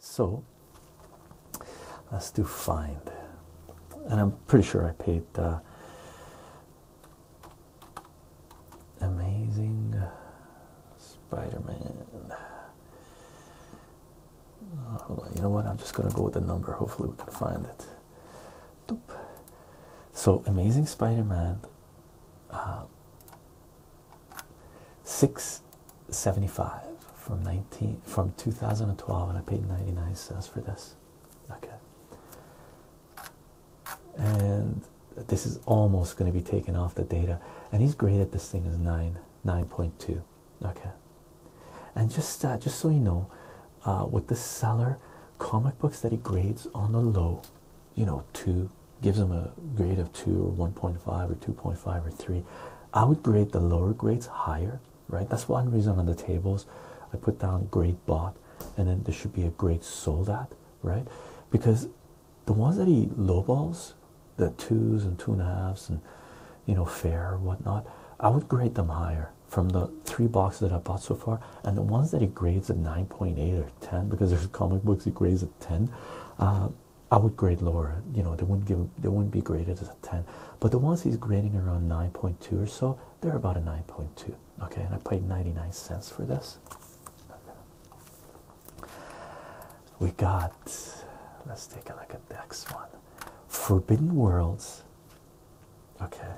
So let's do find. And I'm pretty sure I paid Amazing Spider Man. you know what? I'm just going to go with the number. Hopefully, we can find it. So, Amazing Spider Man uh, 675 from 19 from 2012, and I paid 99 cents for this. Okay, and this is almost going to be taken off the data, and he's graded this thing as 9 9.2. Okay, and just uh, just so you know, uh, with the seller comic books that he grades on the low, you know, two gives him a grade of two or 1.5 or 2.5 or three. I would grade the lower grades higher, right? That's one reason on the tables I put down grade bought and then there should be a grade sold at, right? Because the ones that he lowballs, the twos and two and a halves and you know fair whatnot, I would grade them higher from the three boxes that I bought so far, and the ones that he grades at 9.8 or 10, because there's comic books he grades at 10, uh, I would grade lower. You know, they wouldn't give, they wouldn't be graded as a 10. But the ones he's grading around 9.2 or so, they're about a 9.2. Okay, and I paid 99 cents for this. We got. Let's take a look at the next one. Forbidden Worlds Okay,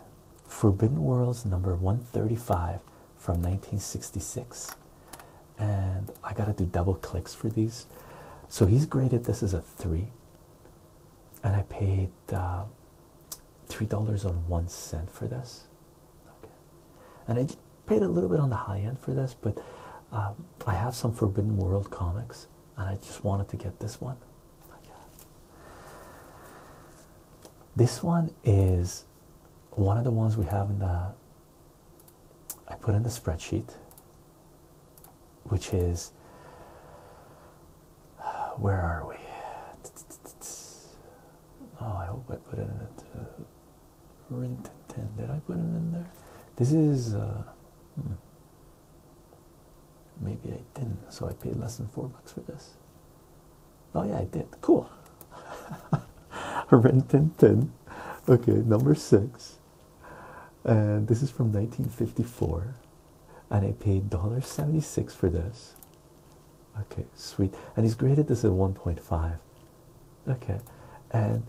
Forbidden Worlds number 135 from 1966. And I gotta do double clicks for these. So he's graded this as a three, and I paid uh, three dollars on one cent for this. Okay, and I paid a little bit on the high end for this, but um, I have some Forbidden World comics, and I just wanted to get this one. This one is one of the ones we have in the I put in the spreadsheet, which is where are we? Oh, I hope I put it in it. Rint ten. Did I put it in there? This is. Uh, hmm. Maybe I didn't, so I paid less than four bucks for this. Oh yeah, I did. Cool. Rentintin. Okay, number six. And this is from 1954. And I paid $1.76 for this. Okay, sweet. And he's graded this at 1.5. Okay. And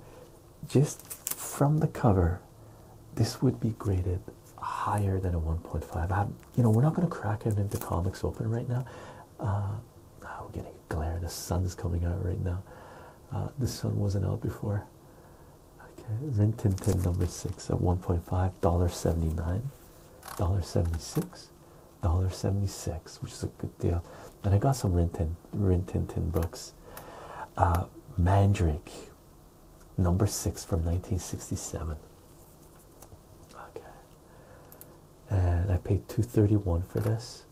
just from the cover, this would be graded higher than a 1.5. you know, we're not going to crack it into comics open right now. Uh, oh, we're getting glare. The sun is coming out right now. Uh, the sun wasn't out before. Okay, Rin Tin number six at 1.5, dollar 79, dollar 76, dollar 76, which is a good deal. And I got some Rin Tin, Rin books. Uh, Mandrake, number six from 1967. Okay, and I paid 231 for this,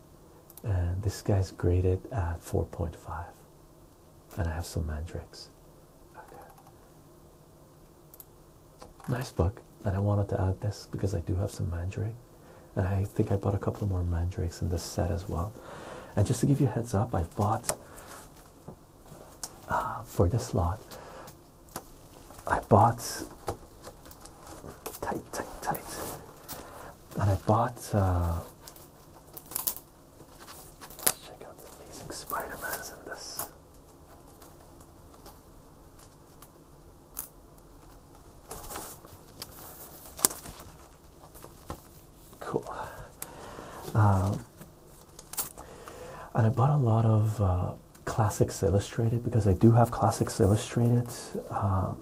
and this guy's graded at 4.5, and I have some mandrakes. Okay. Nice book, and I wanted to add this because I do have some mandrake, and I think I bought a couple more mandrakes in this set as well. And just to give you a heads up, I bought uh, for this lot. I bought tight, tight, tight, and I bought. Uh, let's check out the amazing Spider-Man's in this. Cool. Uh, and I bought a lot of uh, Classics Illustrated because I do have Classics Illustrated um,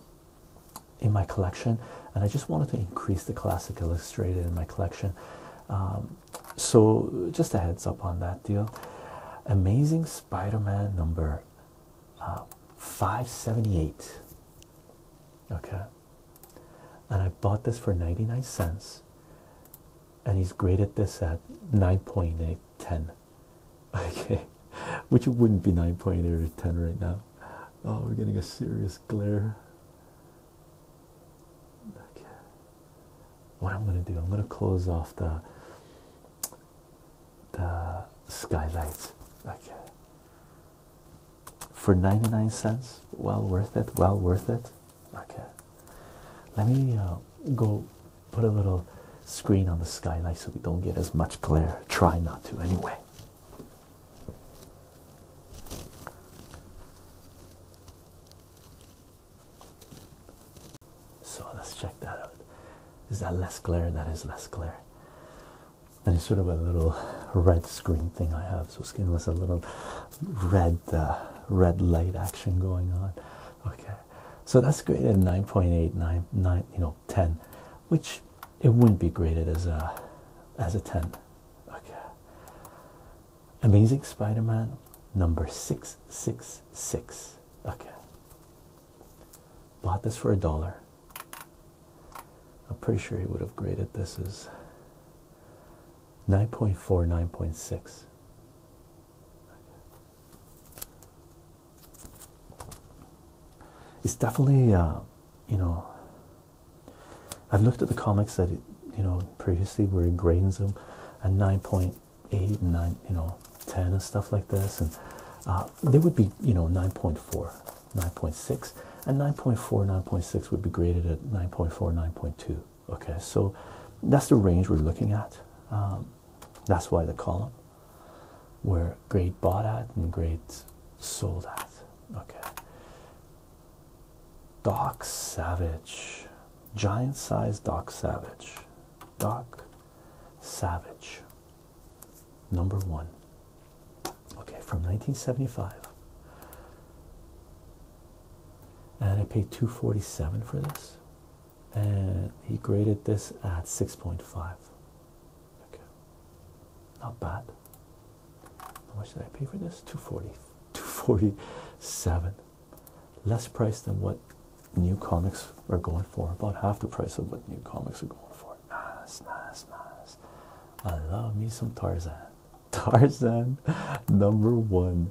in my collection, and I just wanted to increase the Classic Illustrated in my collection. Um, so, just a heads up on that deal. Amazing Spider Man number uh, 578. Okay, and I bought this for 99 cents and he's graded this at nine point eight ten, okay which wouldn't be 9.8 or 10 right now oh we're getting a serious glare okay what i'm going to do i'm going to close off the the skylights okay for 99 cents well worth it well worth it Okay, let me uh, go put a little screen on the skylight so we don't get as much glare. Try not to, anyway. So let's check that out. Is that less glare? That is less glare. And it's sort of a little red screen thing I have, so it's giving us a little red, uh, red light action going on. Okay, so that's graded 9.8, 9, you know, 10, which it wouldn't be graded as a as a 10. Okay. Amazing Spider-Man number 666. Okay. Bought this for a dollar. I'm pretty sure he would have graded this as 9.4, 9.6. It's definitely, uh, you know, I've looked at the comics that, you know, previously were in grades them at 9.8 and 9, you know, 10 and stuff like this. And uh, they would be, you know, 9.4, 9.6. And 9.4, 9.6 would be graded at 9.4, 9.2. Okay, so that's the range we're looking at. Um, that's why the column where great bought at and great sold at. Okay. Doc Savage, giant sized Doc Savage, Doc Savage, number one. Okay, from 1975, and I paid 247 for this and he graded this at 6.5 okay not bad how much did I pay for this 240 247 less price than what new comics are going for about half the price of what new comics are going for nice nice nice I love me some Tarzan Tarzan number one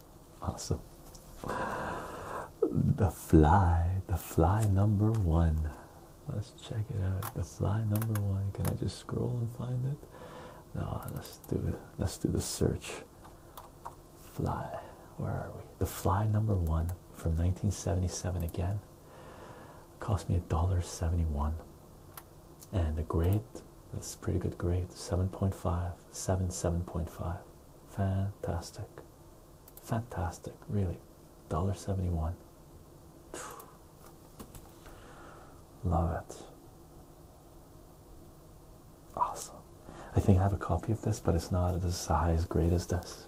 Awesome. The fly, the fly number one. Let's check it out. The fly number one. Can I just scroll and find it? No, let's do it. Let's do the search. Fly. Where are we? The fly number one from 1977 again. Cost me a dollar seventy-one. And a grade, that's pretty good grade. 7.5, 7, 7.5. Fantastic fantastic really dollar 71 love it awesome i think i have a copy of this but it's not as it high as great as this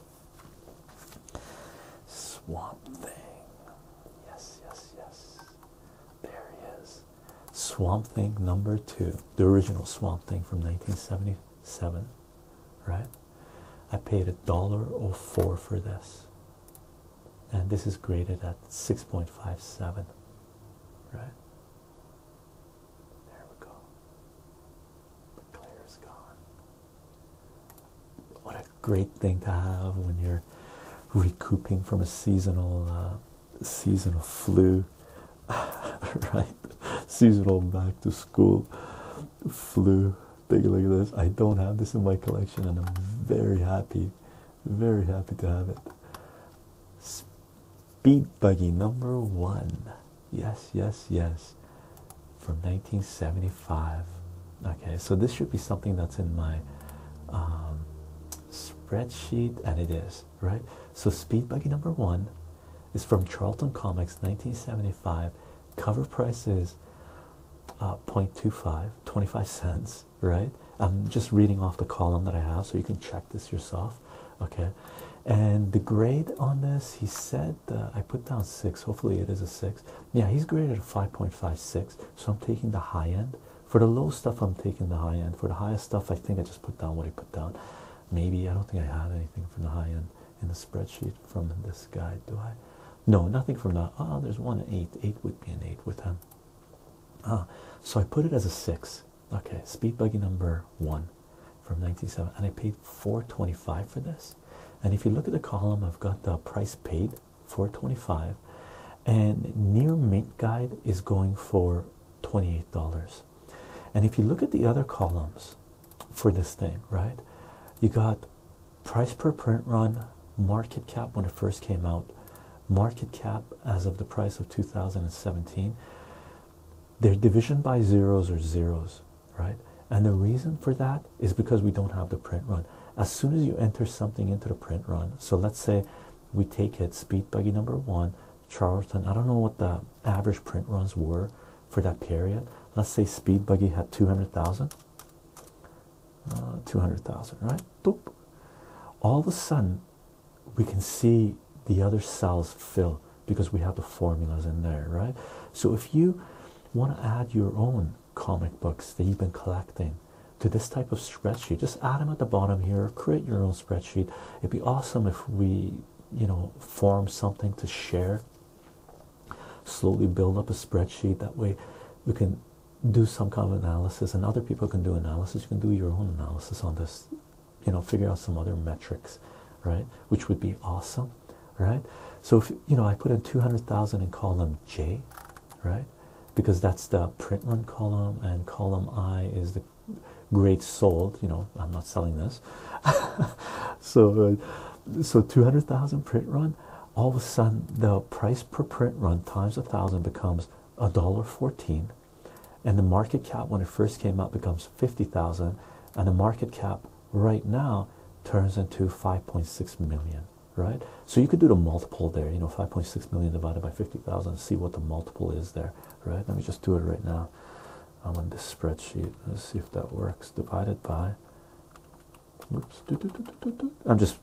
swamp thing yes yes yes there he is swamp thing number two the original swamp thing from 1970 seven, right? I paid a dollar oh four for this, and this is graded at six point five seven, right? There we go. The clear is gone. What a great thing to have when you're recouping from a seasonal uh, flu right? Seasonal back to school flu. Take a look at this. I don't have this in my collection, and I'm very happy, very happy to have it. Speed buggy number one. Yes, yes, yes. From 1975. Okay, so this should be something that's in my um, spreadsheet, and it is right? So, Speed Buggy number one is from Charlton Comics 1975. Cover price is uh, 0.25, 25 cents, right? I'm just reading off the column that I have so you can check this yourself, okay? And the grade on this, he said, uh, I put down six, hopefully it is a six. Yeah, he's graded a 5.56, so I'm taking the high end. For the low stuff, I'm taking the high end. For the highest stuff, I think I just put down what I Maybe I don't think I had anything from the high end in the spreadsheet from this guy. Do I? No, nothing from that. Ah, oh, there's one eight. Eight would be an eight with him. Ah, so I put it as a six. Okay, speed buggy number one from 97, and I paid 425 for this. And if you look at the column, I've got the price paid 425, and near mint guide is going for $28. And if you look at the other columns for this thing, right, you got price per print run, market cap when it first came out, market cap as of the price of 2017. Their division by zeros or zeros, right? And the reason for that is because we don't have the print run. As soon as you enter something into the print run, so let's say we take it speed buggy number one, chart I don't know what the average print runs were for that period. Let's say Speed Buggy had 200,000. Uh, 200,000, right? Boop. All of a sudden, we can see the other cells fill because we have the formulas in there, right? So if you want to add your own comic books that you've been collecting to this type of spreadsheet, just add them at the bottom here, create your own spreadsheet. It'd be awesome if we you know form something to share slowly build up a spreadsheet that way we can do some kind of analysis and other people can do analysis you can do your own analysis on this you know figure out some other metrics right which would be awesome right so if you know i put in 200000 in column j right because that's the print run column and column i is the great sold you know i'm not selling this so uh, so 200000 print run all of a sudden the price per print run times a thousand becomes a dollar 14 and the market cap when it first came out becomes 50000 and the market cap right now turns into 5.6 million right so you could do the multiple there you know 5.6 million divided by 50000 see what the multiple is there right let me just do it right now I'm on this spreadsheet. Let's see if that works. Divided by. Oops. I'm just.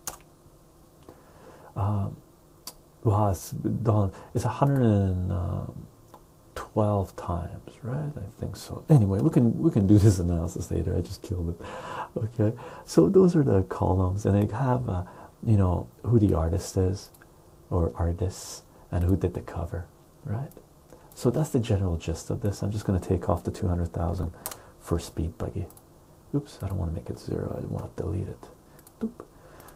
Um, wow, it's done. 112 times, right? I think so. Anyway, we can we can do this analysis later. I just killed it. Okay, so those are the columns, and they have uh, you know who the artist is, or artists, and who did the cover, right? So that's the general gist of this. I'm just going to take off the 200,000 for speed buggy. Oops, I don't want to make it zero. I want to delete it.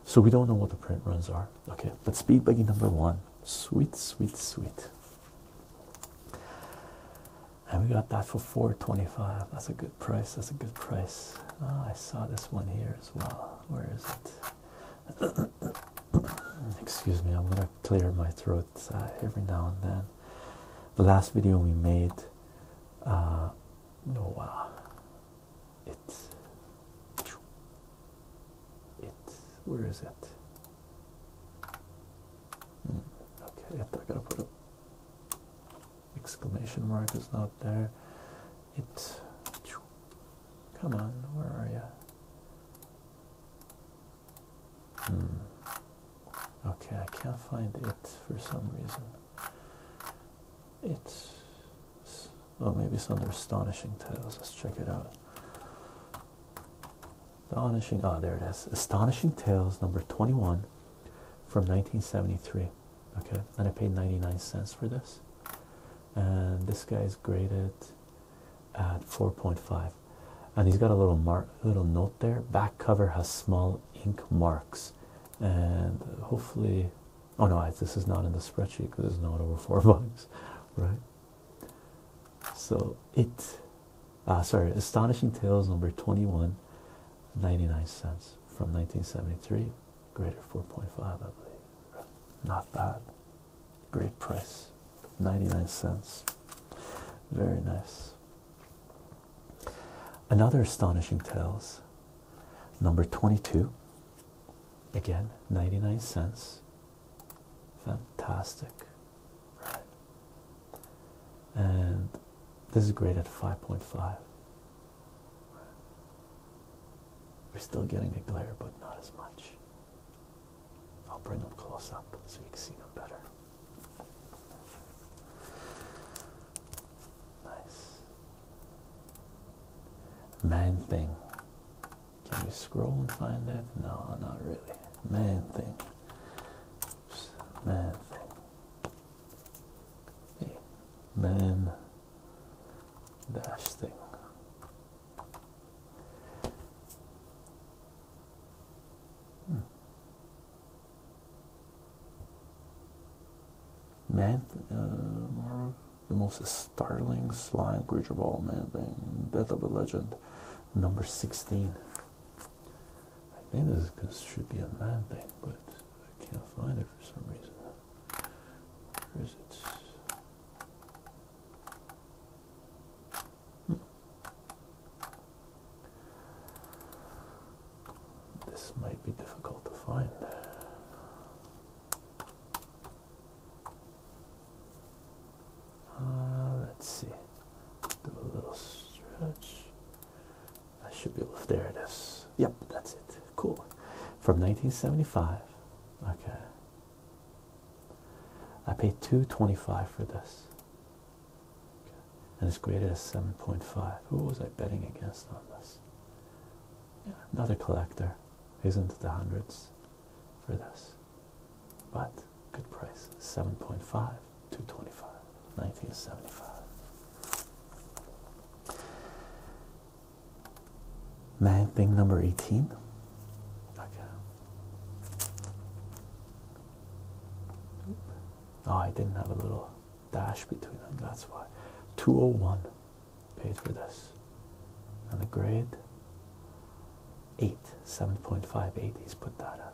So we don't know what the print runs are. Okay, but speed buggy number one. Sweet, sweet, sweet. And we got that for 425. That's a good price. That's a good price. Ah, I saw this one here as well. Where is it? Excuse me, I'm gonna clear my throat uh, every now and then. The last video we made, uh, no, uh, it, where is it? Hmm, okay, I gotta put an exclamation mark, Is not there. It, come on, where are you? Hmm. Okay, I can't find it for some reason. It's oh maybe it's under astonishing tales. Let's check it out. Astonishing ah oh, there it is. Astonishing Tales number 21 from 1973. Okay, and I paid 99 cents for this. And this guy is graded at 4.5 and he's got a little mark little note there back cover has small ink marks and hopefully oh no this is not in the spreadsheet because it's not over four bucks right so it uh, sorry astonishing tales number twenty one, ninety nine cents from 1973 greater 4.5 i believe not bad Great price, 99 cents. Very nice. Another astonishing tales, number 22. Again, 99 cents. Fantastic. And this is great at 5.5. We're still getting a glare, but not as much. I'll bring them close up so you can see them better. Nice. Man thing. Can you scroll and find that? No, not really. Man thing. Oops. Man thing. Hey. Man dash thing. Man, uh, the most startling slime creature all, man thing, Death of a Legend, number 16. I think this should be a man thing, but I can't find it for some reason. Where is it? This might be difficult to find. Uh, let's see. Do a little stretch. I should be able to. There it is. Yep, that's it. Cool. From 1975. Okay. I paid 225 for this. And it's graded as 7.5. Who was I betting against on this? another collector. Isn't the hundreds for this? But good price. 7.5, 225, 1975. Man thing number 18. Okay. Oh, I didn't have a little dash between them, that's why. 201 paid for this. And the grade 8, 7.58, he's put that at.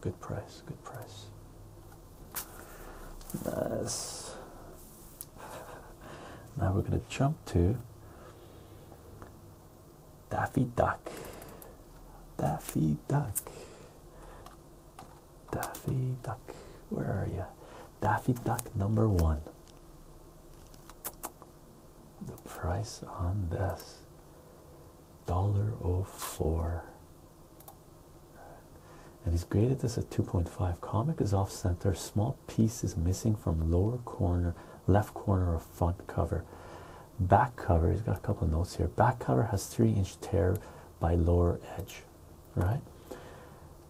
Good price, good price. Nice. Now we're going to jump to Daffy Duck, Daffy Duck, Daffy Duck, where are you? Daffy Duck number one. The price on this dollar oh four. And he's graded this at 2.5. Comic is off center. Small piece is missing from lower corner, left corner of front cover back cover he's got a couple of notes here back cover has three inch tear by lower edge right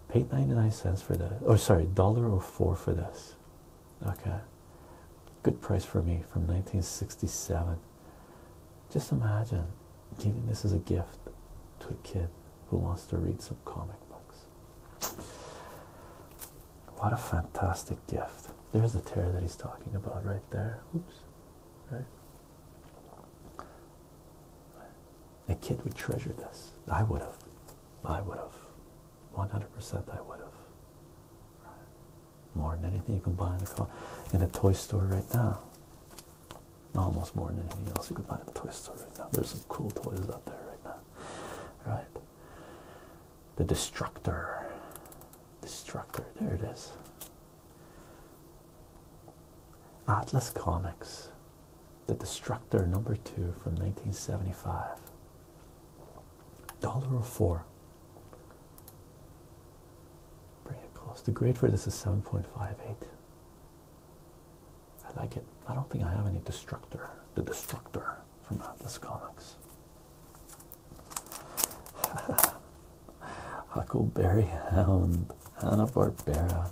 paid 99 cents for this, or oh, sorry dollar or oh four for this okay good price for me from 1967 just imagine giving this as a gift to a kid who wants to read some comic books what a fantastic gift. There's the tear that he's talking about right there. Oops. Right. A kid would treasure this. I would have. I would have. 100% I would have. More than anything you can buy in a, in a toy store right now. Almost more than anything else you can buy in a toy store right now. There's some cool toys out there right now. Right. The Destructor. Destructor, there it is. Atlas Comics. The Destructor number two from 1975. Dollar or four. Bring it close. The grade for this is 7.58. I like it. I don't think I have any Destructor. The Destructor from Atlas Comics. Huckleberry Hound, Hanna-Barbera.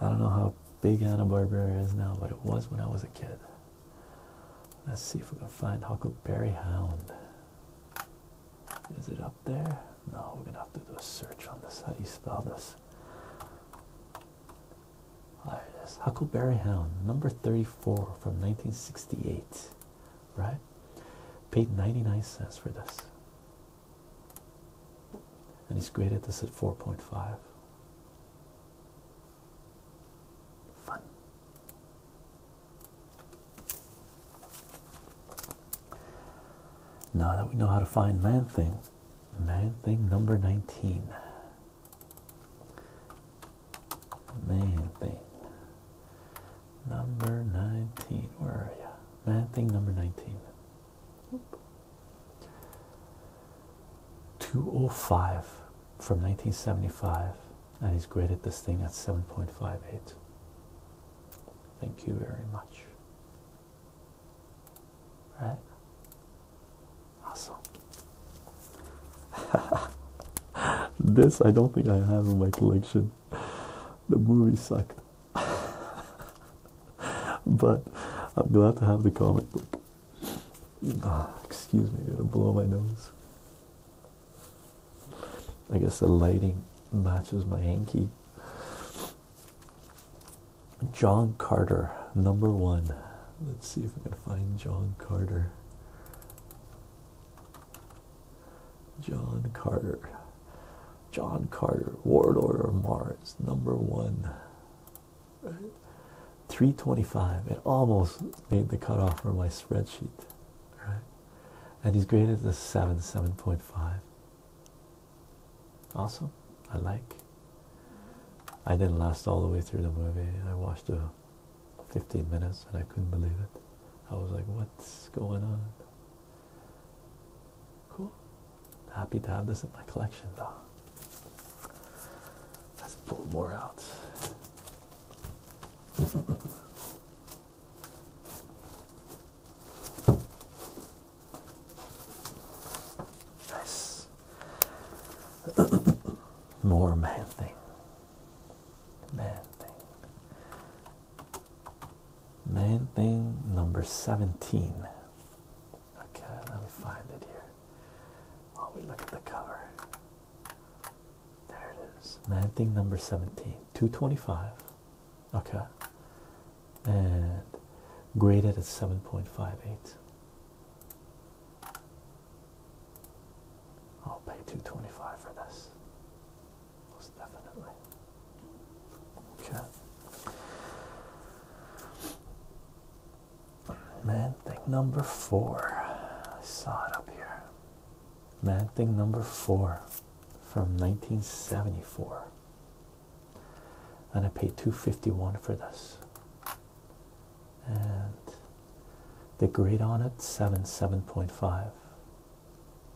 I don't know how big Hanna-Barbera is now, but it was when I was a kid. Let's see if we can find Huckleberry Hound. Is it up there? No, we're gonna have to do a search on this. How do you spell this? There it is. Huckleberry Hound, number 34 from 1968. Right? Paid 99 cents for this. And he's graded this at 4.5. Fun. Now that we know how to find man thing, man thing number 19. Main Number 19. Where are you? Man thing number 19. 205 from 1975 and he's graded this thing at 7.58 thank you very much right Awesome. this I don't think I have in my collection. The movie sucked. but I'm glad to have the comic book. Ah, excuse me, it'll blow my nose. I guess the lighting matches my hanky. John Carter, number one. Let's see if we can find John Carter. John Carter. John Carter, Warlord of Mars, number one. 325. It almost made the cutoff for my spreadsheet. Right? And he's graded as a 7, 7.5. Awesome. I like. I didn't last all the way through the movie. I watched a 15 minutes and I couldn't believe it. I was like, what's going on? Cool. Happy to have this in my collection though. Let's pull more out. nice. More man thing. Man thing. Man thing number 17. Okay, let me find it here. While oh, we look at the cover. There it is. Man thing number 17. 225. Okay. And graded at 7.58. I'll pay two twenty five for this. Most definitely. Okay. Man thing number four. I saw it up here. Man thing number four from 1974. And I paid 251 for this and the grade on it 7 7.5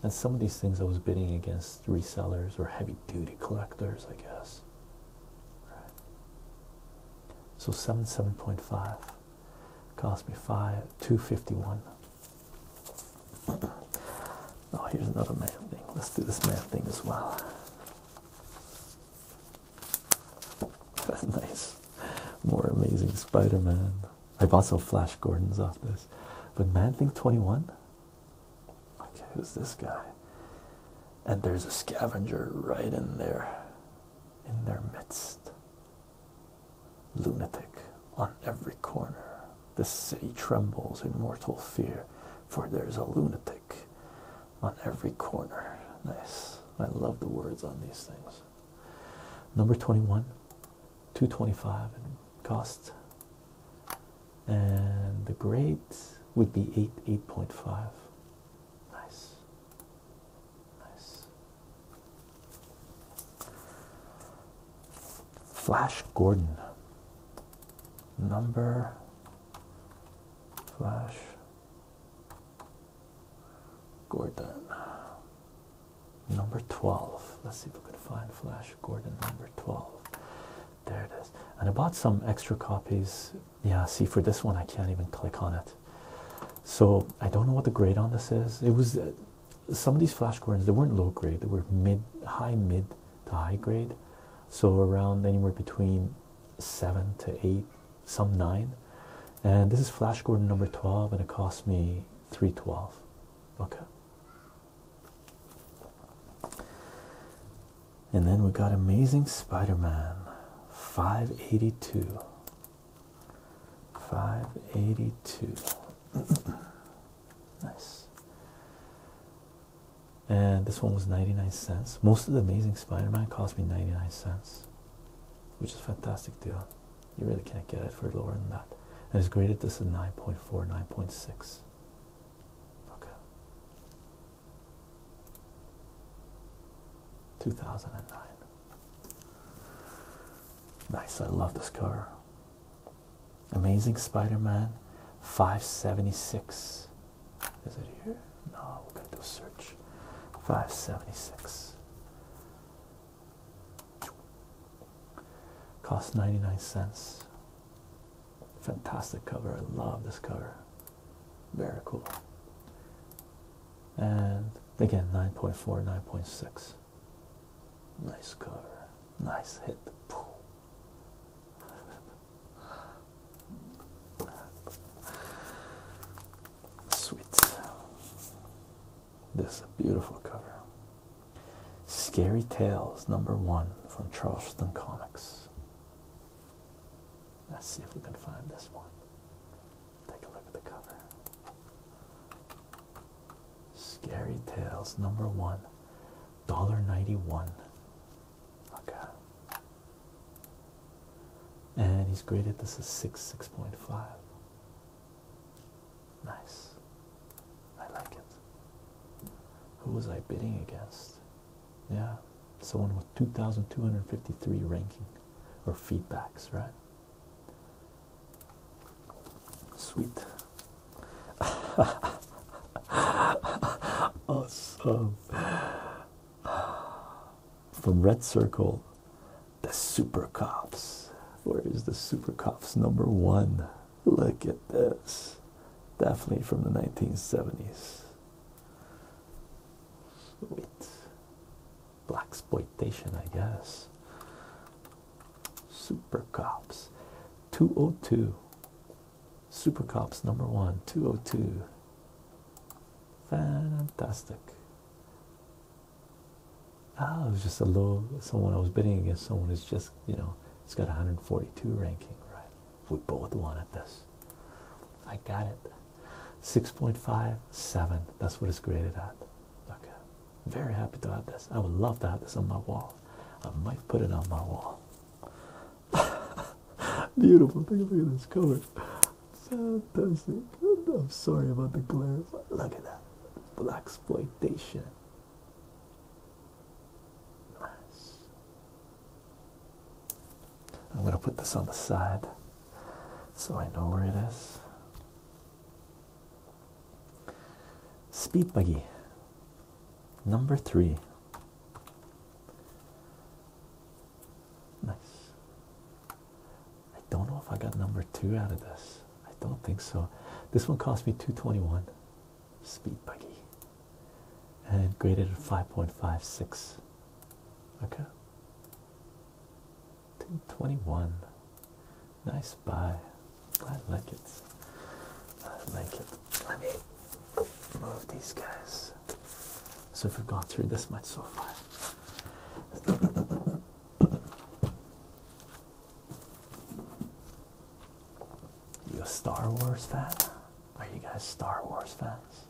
and some of these things i was bidding against resellers or heavy duty collectors i guess so 7 7.5 cost me 5 251 oh here's another math thing let's do this math thing as well nice. More amazing Spider Man. I have also Flash Gordons off this. But Man Thing 21? Okay, who's this guy? And there's a scavenger right in there, in their midst. Lunatic on every corner. The city trembles in mortal fear, for there's a lunatic on every corner. Nice. I love the words on these things number 21 225 and cost and the grade would be 8 8.5 nice nice Flash Gordon number Flash Gordon. Number 12. Let's see if we can find Flash Gordon number 12. There it is. And I bought some extra copies. Yeah, see, for this one, I can't even click on it. So I don't know what the grade on this is. It was uh, some of these Flash Gordons, they weren't low grade, they were mid, high, mid to high grade. So around anywhere between seven to eight some nine and this is flash gordon number 12 and it cost me 312 okay and then we got amazing spider-man 582 582 nice and this one was 99 cents most of the amazing spider-man cost me 99 cents which is fantastic deal. You really can't get it for lower than that. And it's graded this at 9.4, 9.6. Okay. 2009. Nice, I love this car. Amazing Spider-Man 576. Is it here? No, we're gonna do a search. 576. Cost 99 cents. Fantastic cover. I love this cover. Very cool. And again, 9.4, 9.6. Nice cover. Nice hit. Sweet. This is a beautiful cover. Scary Tales number one from Charleston Comics. Let's see if we can find this one. Take a look at the cover. Scary Tales number one, dollar ninety one. Okay and he's graded this as 6 6.5 nice i like it who was i bidding against yeah someone with 2253 ranking or feedbacks right sweet awesome from red circle the Super Cops. Where is the Super Cops number one? Look at this. Definitely from the 1970s. Wait. Black exploitation, I guess. Super Cops 202. Super Cops number one, 202. Fantastic. Oh, it was just a little someone I was bidding against. Someone who's just, you know, it's got 142 ranking, right? We both wanted this. I got it. 6.57. That's what it's graded at. Okay. Very happy to have this. I would love to have this on my wall. I might put it on my wall. Beautiful Look at this color. Fantastic. I'm sorry about the glare. Look at that. Black exploitation. Nice. I'm going to put this on the side so I know where it is. Speed Buggy, number three. Nice. I don't know if I got number two out of this. I don't think so. This one cost me 221 speed buggy and graded at 5.56. Okay. 221. Nice buy. I like it. I like it. Let me move these guys. So if we've gone through this much so far. You a Star Wars fan? Are you guys Star Wars fans?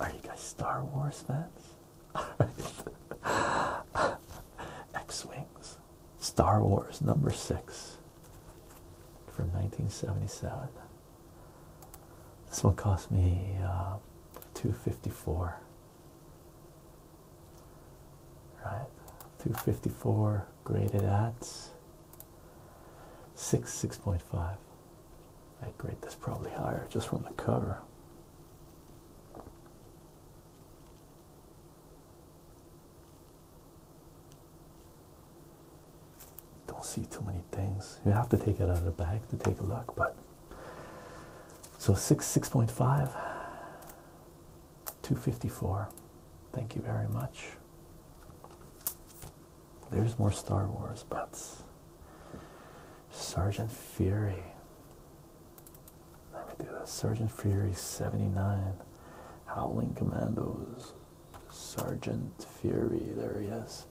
Are you guys Star Wars fans? X-Wings. Star Wars number six from 1977. This one cost me uh, 254 right 254 graded at 6 6.5 I grade this probably higher just from the cover don't see too many things you have to take it out of the bag to take a look but so 6, 6.5, 254. Thank you very much. There's more Star Wars but Sergeant Fury. Let me do that. Sergeant Fury 79. Howling Commandos. Sergeant Fury. There he is.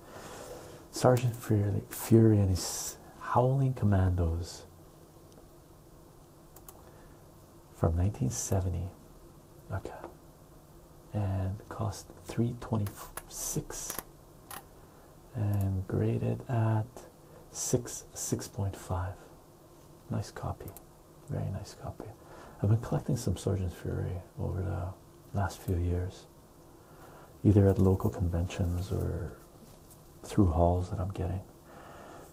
Sergeant Fury, and his Howling Commandos from 1970. Okay. And cost 326 and graded at 6 6.5. Nice copy. Very nice copy. I've been collecting some Sergeant Fury over the last few years either at local conventions or through halls that I'm getting.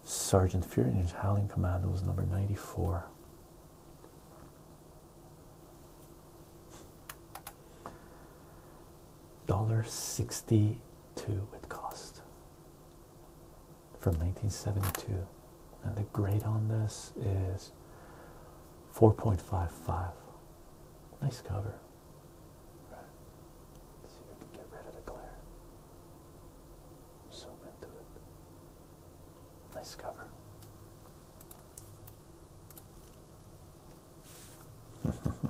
Sergeant Fury and his Howling Commandos, number 94. Dollar sixty-two it cost from nineteen seventy-two, and the grade on this is four point five five. Nice cover. Right? So you can get rid of the glare. Zoom into it. Nice cover.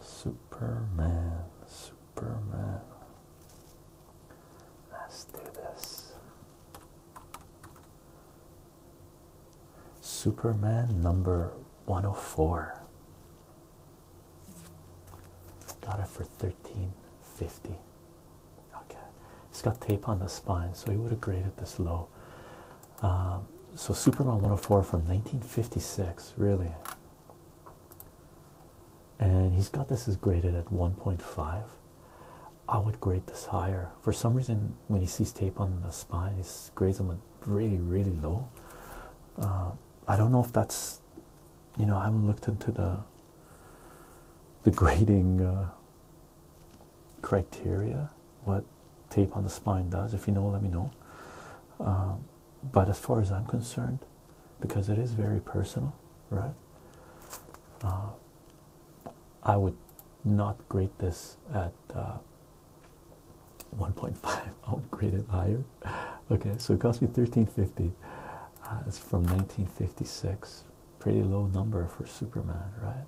Superman, Superman. Let's do this. Superman number 104. Got it for 1350. Okay. he has got tape on the spine, so he would have graded this low. Um, so Superman 104 from 1956, really. And he's got this is graded at 1.5. I would grade this higher. For some reason, when he sees tape on the spine, he grades them really, really low. Uh, I don't know if that's, you know, I haven't looked into the the grading uh, criteria. What tape on the spine does. If you know, let me know. Uh, but as far as I'm concerned, because it is very personal, right? I would not grade this at 1.5. I would grade it higher. Okay, so it cost me 13.50. Uh, it's from 1956. Pretty low number for Superman, right?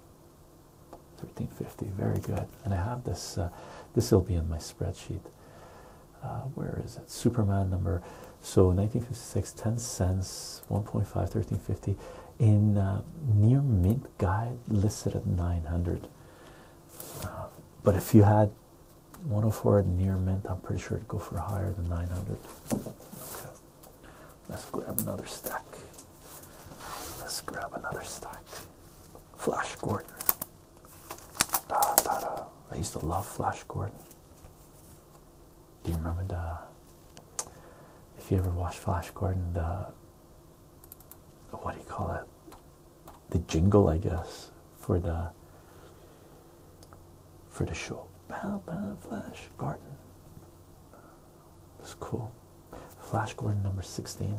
13.50. Very good. And I have this. Uh, this will be in my spreadsheet. Uh, where is it? Superman number. So 1956, 10 cents, 1.5, 13.50. In near mint guide listed at 900 uh, but if you had 104 at near mint i'm pretty sure it'd go for higher than 900 let's grab another stack let's grab another stack flash gordon da, da, da. i used to love flash gordon do you remember the if you ever watched flash gordon the what do you call it? The jingle, I guess, for the for the show. Bow, bow, Flash Gordon. That's cool. Flash Gordon number 16.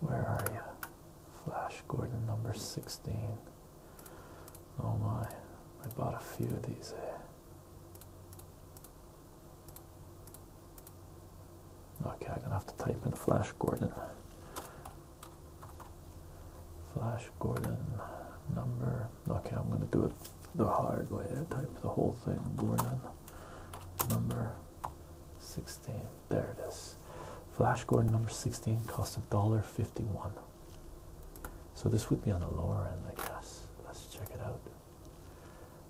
Where are you? Flash Gordon number 16. Oh my, I bought a few of these. Eh? Okay, I'm gonna have to type in Flash Gordon. Flash Gordon number. Okay, I'm gonna do it the hard way. I type the whole thing. Gordon number 16. There it is. Flash Gordon number 16 cost a dollar 51. So this would be on the lower end, I guess. Let's check it out.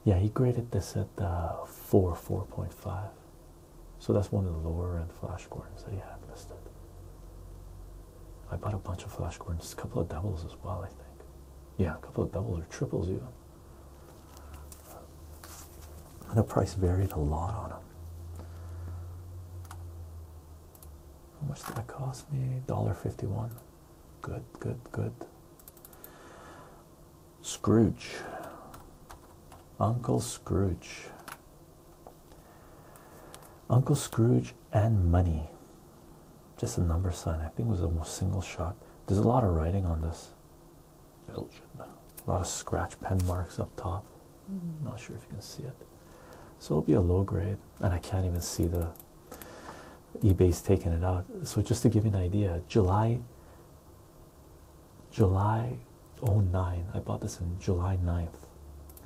Yeah, he graded this at uh, 4, 4.5. So that's one of the lower end Flash Gordons that he had listed. I bought a bunch of Flash Gordons, a couple of doubles as well, I think. Yeah, a couple of doubles or triples even. And the price varied a lot on them. How much did that cost me? $1.51. Good, good, good. Scrooge. Uncle Scrooge. Uncle Scrooge and Money. Just a number sign. I think it was a single shot. There's a lot of writing on this. A lot of scratch pen marks up top. Not sure if you can see it. So it'll be a low grade, and I can't even see the eBay's taking it out. So just to give you an idea, July July 09, I bought this in July 9th,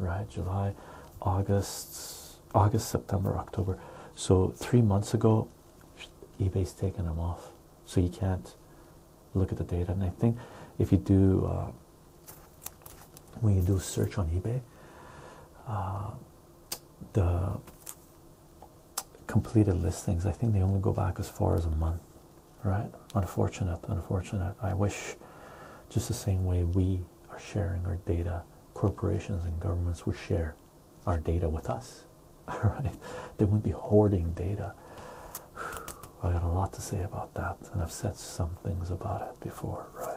right? July, August, August, September, October. So three months ago, eBay's taking them off. So you can't look at the data. And I think if you do, uh, when you do search on eBay, uh, the completed listings. I think they only go back as far as a month, right? Unfortunate, unfortunate. I wish just the same way we are sharing our data, corporations and governments would share our data with us. All right, they wouldn't be hoarding data. I got a lot to say about that, and I've said some things about it before, right?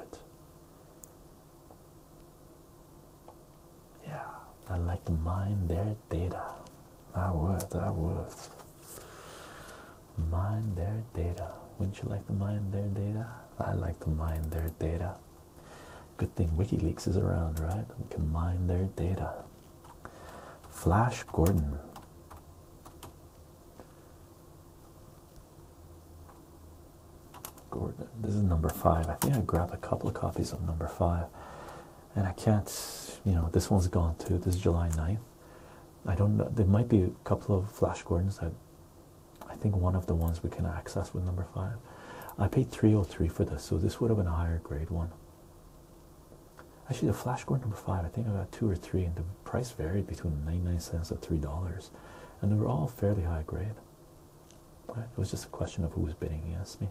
Yeah, i like to mine their data. I would, I would. Mine their data. Wouldn't you like to mine their data? I like to mine their data. Good thing WikiLeaks is around, right? We can mine their data. Flash Gordon. Gordon, this is number five. I think I grabbed a couple of copies of number five and I can't, you know, this one's gone too. This July 9th. I don't know. There might be a couple of Flash Gordons that I think one of the ones we can access with number five. I paid 303 for this, so this would have been a higher grade one. Actually, the Flash Gordon number five, I think I got two or three, and the price varied between 99 cents and three dollars, and they were all fairly high grade. It was just a question of who was bidding against me.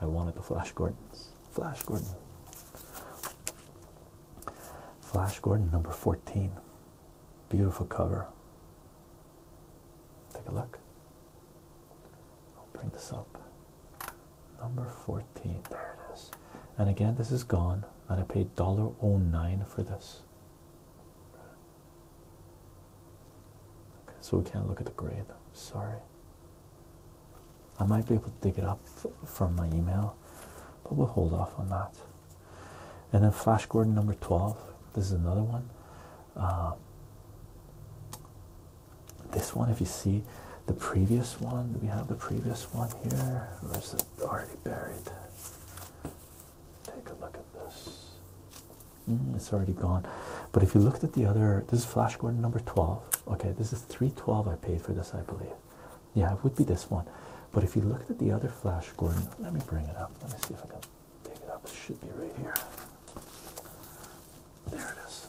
I wanted the Flash Gordon. Flash Gordon. Flash Gordon number 14. Beautiful cover. Take a look. I'll bring this up. Number 14. There it is. And again, this is gone. And I paid $1.09 for this. Okay, so we can't look at the grade. Sorry. I might be able to dig it up from my email, but we'll hold off on that. And then Flash Gordon number 12. This is another one. Um, this one, if you see the previous one, we have the previous one here? Or is already buried? Take a look at this. Mm, it's already gone. But if you looked at the other, this is Flash Gordon number 12. Okay, this is 312 I paid for this, I believe. Yeah, it would be this one. But if you looked at the other Flash Gordon, let me bring it up. Let me see if I can take it up. It should be right here. There it is.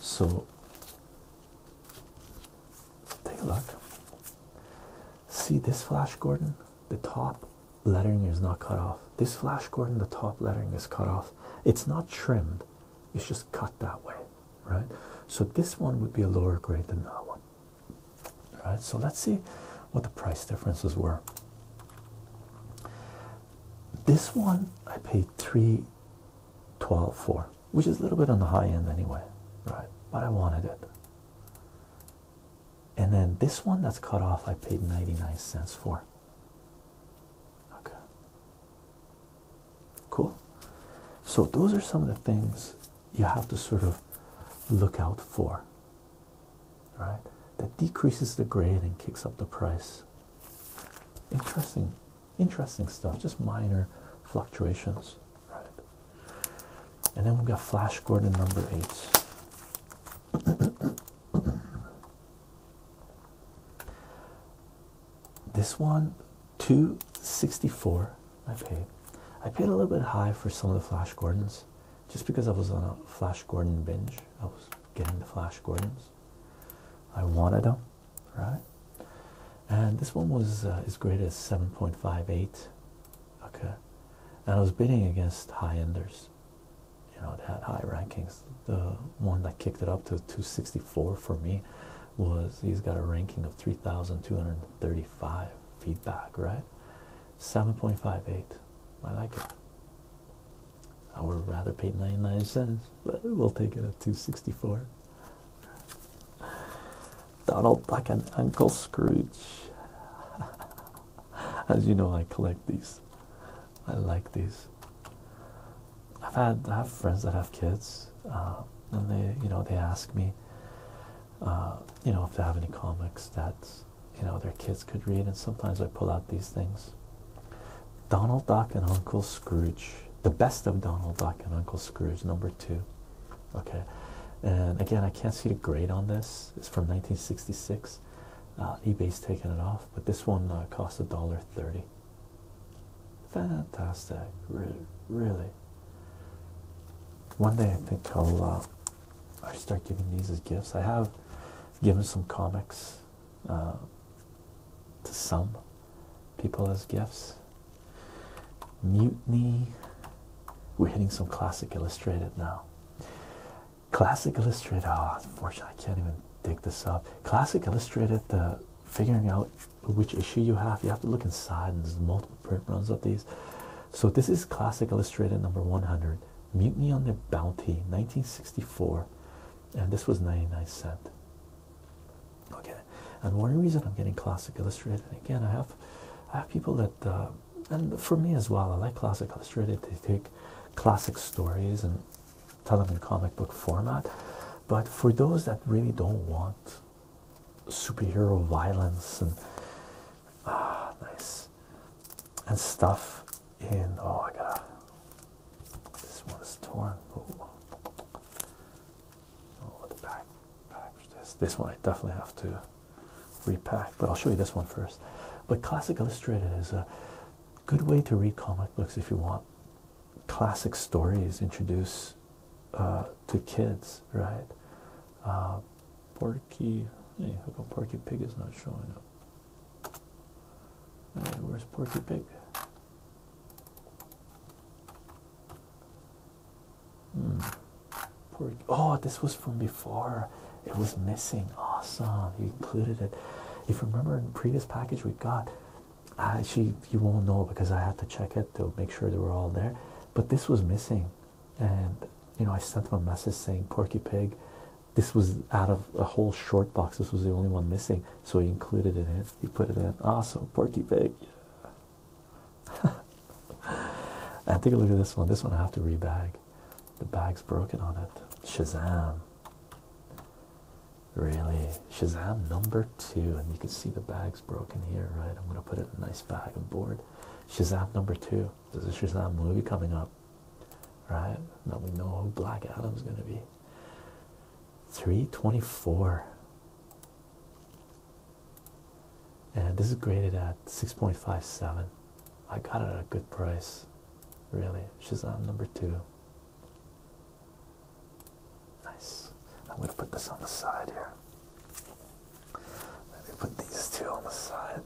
So take a look. See this Flash Gordon? the top lettering is not cut off. This Flash Gordon, the top lettering is cut off. It's not trimmed, it's just cut that way, right? So this one would be a lower grade than that one. All right, so let's see what the price differences were. This one I paid three twelve for, which is a little bit on the high end anyway, right? But I wanted it and then this one that's cut off I paid 99 cents for. Okay. Cool. So those are some of the things you have to sort of look out for. Right? That decreases the grade and kicks up the price. Interesting, interesting stuff, just minor fluctuations. Right. And then we've got Flash Gordon number eight. this one, 264 I paid. I paid a little bit high for some of the Flash Gordons just because I was on a Flash Gordon binge. I was getting the Flash Gordons. I wanted them, right? And this one was uh, as great as 7.58 okay and i was bidding against high enders you know that high rankings the one that kicked it up to 264 for me was he's got a ranking of 3235 feedback right 7.58 i like it i would rather pay 99 cents but we'll take it at 264 Donald Duck and Uncle Scrooge. As you know, I collect these. I like these. I've had I have friends that have kids, uh, and they you know they ask me, uh, you know if they have any comics that you know their kids could read, and sometimes I pull out these things. Donald Duck and Uncle Scrooge, the best of Donald Duck and Uncle Scrooge, number two okay and again i can't see the grade on this it's from 1966 uh, ebay's taken it off but this one uh, cost a dollar 30 fantastic really one day i think i'll uh, i start giving these as gifts i have given some comics uh, to some people as gifts mutiny we're hitting some classic illustrated now. Classic illustrated, Ah, unfortunately, I can't even dig this up. Classic illustrated, the figuring out which issue you have, you have to look inside, and there's multiple print runs of these. So, this is classic illustrated number 100 Mutiny on the Bounty 1964, and this was 99 cents. Okay, and one reason I'm getting classic illustrated again, I have. I have people that uh, and for me as well, I like classic illustrated. They take classic stories and tell them in comic book format. But for those that really don't want superhero violence and ah, nice and stuff in oh, I got this one is torn. Oh, the back, back This one I definitely have to repack, but I'll show you this one first. But Classic Illustrated is a good way to read comic books if you want classic stories introduced uh, to kids, right? Uh, Porky, hey, how come Porky Pig is not showing up? where's Porky Pig? Hmm. Poor, oh, this was from before. It was missing. Awesome. You included it. If you remember in the previous package we got, actually you won't know because I had to check it to make sure they were all there. But this was missing. And you know, I sent them a message saying Porky Pig. This was out of a whole short box. This was the only one missing. So he included it He put it in. Awesome, Porky Pig. and take a look at this one. This one I have to rebag. The bag's broken on it. Shazam. Really? Shazam number two. And you can see the bag's broken here, right? I'm gonna put it in a nice bag on board. Shazam number two. There's a Shazam movie coming up. Right? Now we know who Black Adam's gonna be. 324 and this is graded at 6.57 i got it at a good price really shazam number two nice i'm going to put this on the side here let me put these two on the side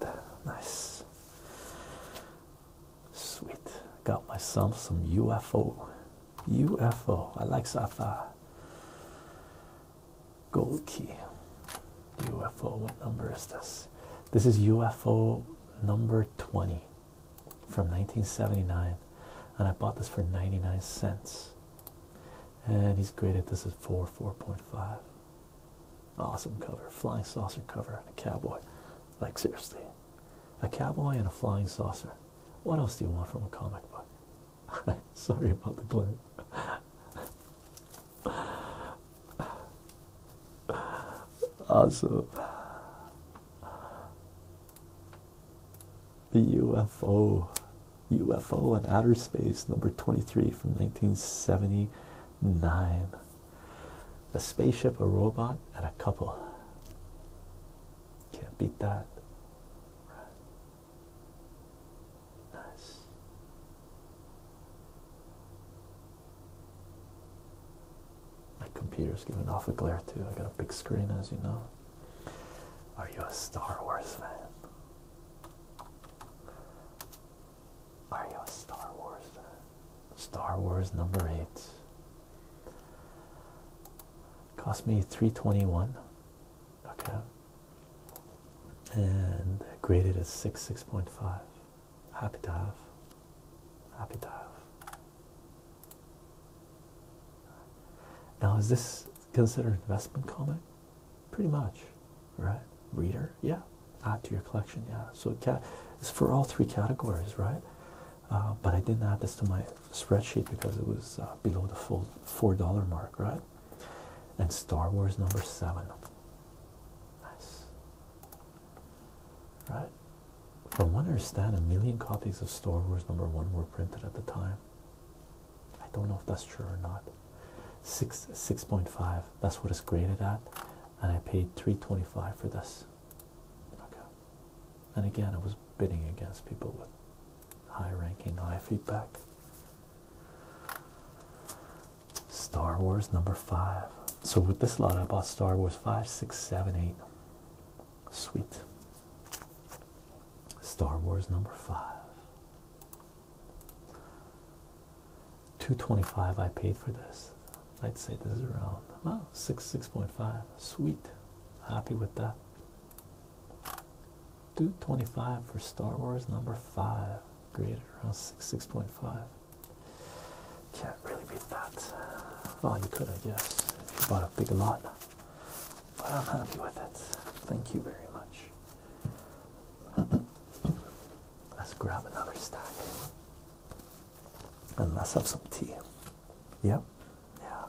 nice sweet got myself some ufo ufo i like sci Gold key. UFO. What number is this? This is UFO number 20 from 1979. And I bought this for 99 cents. And he's graded this at 4, 4.5. Awesome cover. Flying saucer cover and a cowboy. Like, seriously. A cowboy and a flying saucer. What else do you want from a comic book? Sorry about the glare. Awesome. The UFO, UFO and Outer Space, number 23 from 1979. A spaceship, a robot, and a couple. Can't beat that. Nice. My computer's giving off a glare too. I got a big screen, as you know. Are you a Star Wars fan? Are you a Star Wars fan? Star Wars number eight. Cost me three twenty one. Okay and graded as 6 6.5 happy to have happy to have now is this considered investment comic pretty much right reader yeah add to your collection yeah so cat it's for all three categories right uh, but i didn't add this to my spreadsheet because it was uh, below the full four dollar mark right and star wars number seven Nice. Right? From what I understand, a million copies of Star Wars number one were printed at the time. I don't know if that's true or not. Six six point five. That's what it's graded at, and I paid three twenty five for this. Okay. And again, I was bidding against people with high ranking, high feedback. Star Wars number five. So with this lot, I bought Star Wars five, six, seven, eight. Sweet. Star Wars number five. 225 I paid for this. I'd say this is around well, oh, six, six point five. Sweet. Happy with that. 225 for Star Wars number five graded around 6.5. Can't really beat that. Well, you could, I guess, if you bought a big lot. But I'm happy with it. Thank you very much. Let's grab another stack and let's have some tea. Yep. Yeah.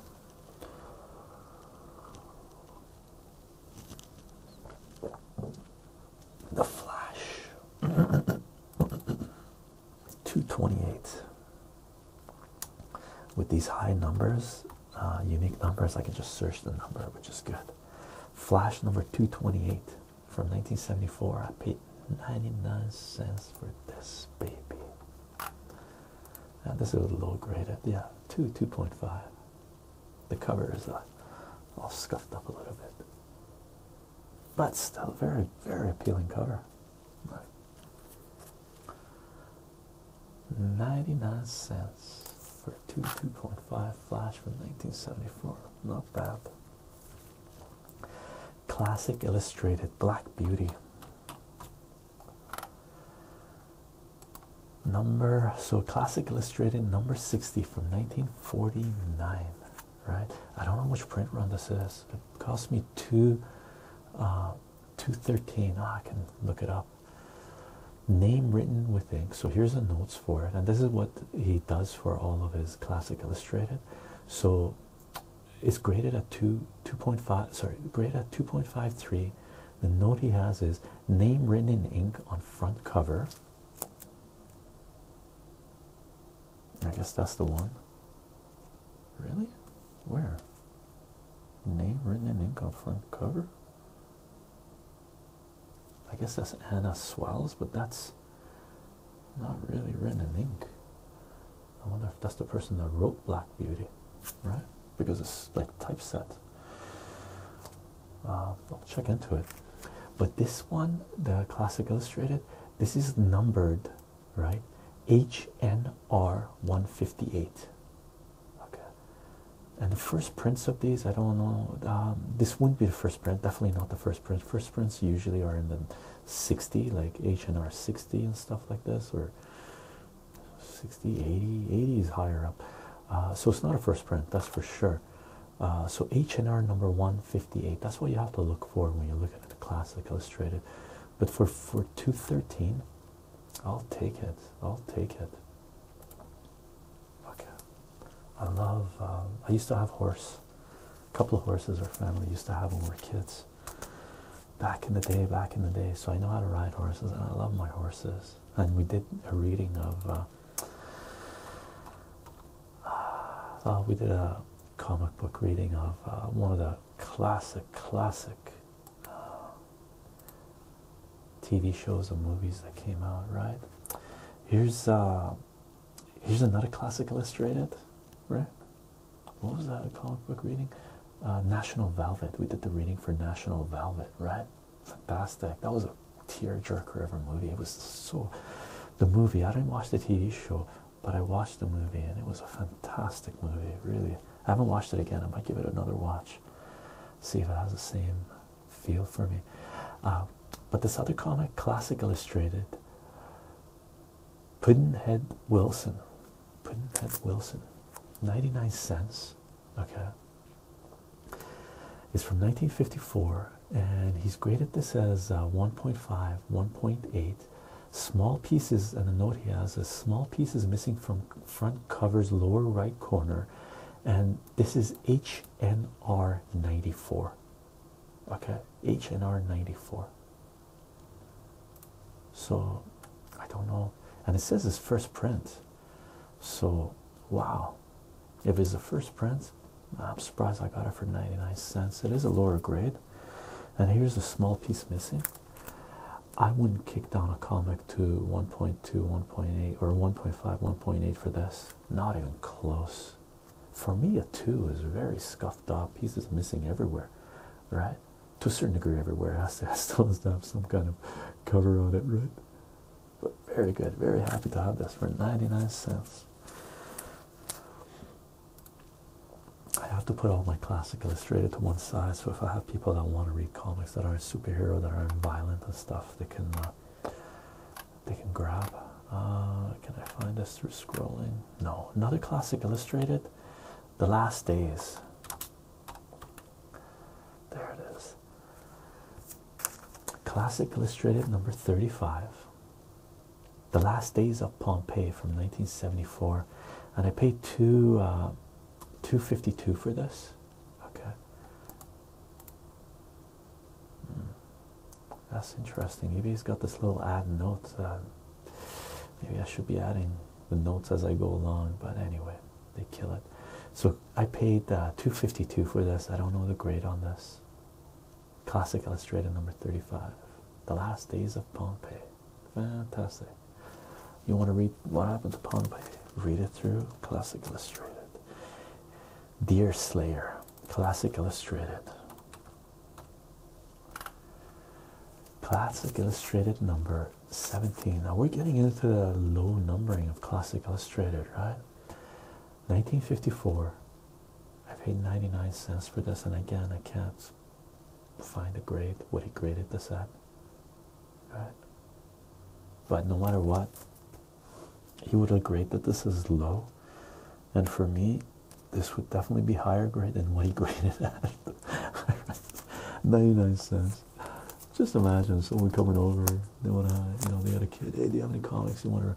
The Flash. 228. With these high numbers, uh, unique numbers, I can just search the number, which is good. Flash number 228 from 1974. I paid 99 cents for this baby. And this is a low graded, yeah, 2, 2.5. The cover is uh, all scuffed up a little bit, but still very, very appealing cover. 99 cents for 2 2.5 flash from 1974. Not bad. Classic Illustrated Black Beauty. Number so Classic Illustrated number 64 from 1949 right i don't know which print run this is it cost me two uh, 213 ah, i can look it up name written with ink so here's the notes for it and this is what he does for all of his classic illustrated so it's graded at 2 2.5 sorry graded at 2.53 the note he has is name written in ink on front cover I guess that's the one. Really? Where? Name written in ink on front cover? I guess that's Anna Swells, but that's not really written in ink. I wonder if that's the person that wrote Black Beauty, right? Because it's like typeset. Uh, I'll check into it. But this one, the classic illustrated, this is numbered, right? HNR 158. Okay. And the first prints of these, I don't know. Um, this wouldn't be the first print, definitely not the first print. First prints usually are in the 60, like HNR 60 and stuff like this, or 60, 80. 80 is higher up. Uh, so it's not a first print, that's for sure. Uh, so H&R number 158, that's what you have to look for when you're looking at the classic illustrated. But for, for 213, I'll take it. I'll take it. Okay. I love, um, I used to have horse. A couple of horses our family used to have when we were kids. Back in the day, back in the day. So I know how to ride horses and I love my horses. And we did a reading of uh, uh, we did a comic book reading of uh, one of the classic, classic uh, TV shows and movies that came out. Right? Here's uh, here's another classic illustrated. Right? What was that? A comic book reading? National Velvet. We did the reading for National Velvet. Right? Fantastic. That was a tearjerker of a movie. It was so the movie. I didn't watch the TV show, but I watched the movie, and it was a fantastic movie. Really, I haven't watched it again. I might give it another watch, see if it has the same feel for me. Uh, but this other comic, Classic Illustrated, Puddinhead Wilson, Puddinhead Wilson, ninety nine cents. Okay. It's from 1954, and he's graded this as uh, 1.5, 1.8. Small pieces, and the note he has is small pieces missing from front cover's lower right corner, and this is HNR 94. Okay, HNR 94. So I don't know, and it says his first print. So wow, if it's the first print, I'm surprised I got it for 99 cents. It is a lower grade, and here's a small piece missing. I wouldn't kick down a comic to 1.2, 1.8, or 1.5, 1.8 for this. Not even close. For me, a 2 is very scuffed up, pieces missing everywhere, right? To a certain degree, everywhere. It has to have some kind of cover on it, right? But very good. Very happy to have this for 99 cents. I have to put all my classic illustrated to one side. So if I have people that want to read comics that aren't superhero, that aren't violent and stuff, they can uh, they can grab. Uh, can I find this through scrolling? No, another classic illustrated. The Last Days. There it is. Classic Illustrated number 35. The Last Days of Pompeii from 1974. And I paid two uh, 252 for this. Okay. Hmm. That's interesting. Maybe he has got this little add note. Uh, maybe I should be adding the notes as I go along, but anyway, they kill it. So I paid uh, 252 for this. I don't know the grade on this. Classic Illustrated number 35. The Last Days of Pompeii. Fantastic. You want to read what happened to Pompeii? Read it through Classic Illustrated. Deer Slayer, Classic Illustrated. Classic Illustrated number 17. Now we're getting into the low numbering of Classic Illustrated, right? 1954 I paid 99 cents for this and again I can't find a grade what he graded this at but no matter what he would agree that this is low and for me this would definitely be higher grade than what he graded at 99 cents just imagine someone coming over they want to you know they had a kid hey do you have any comics you want to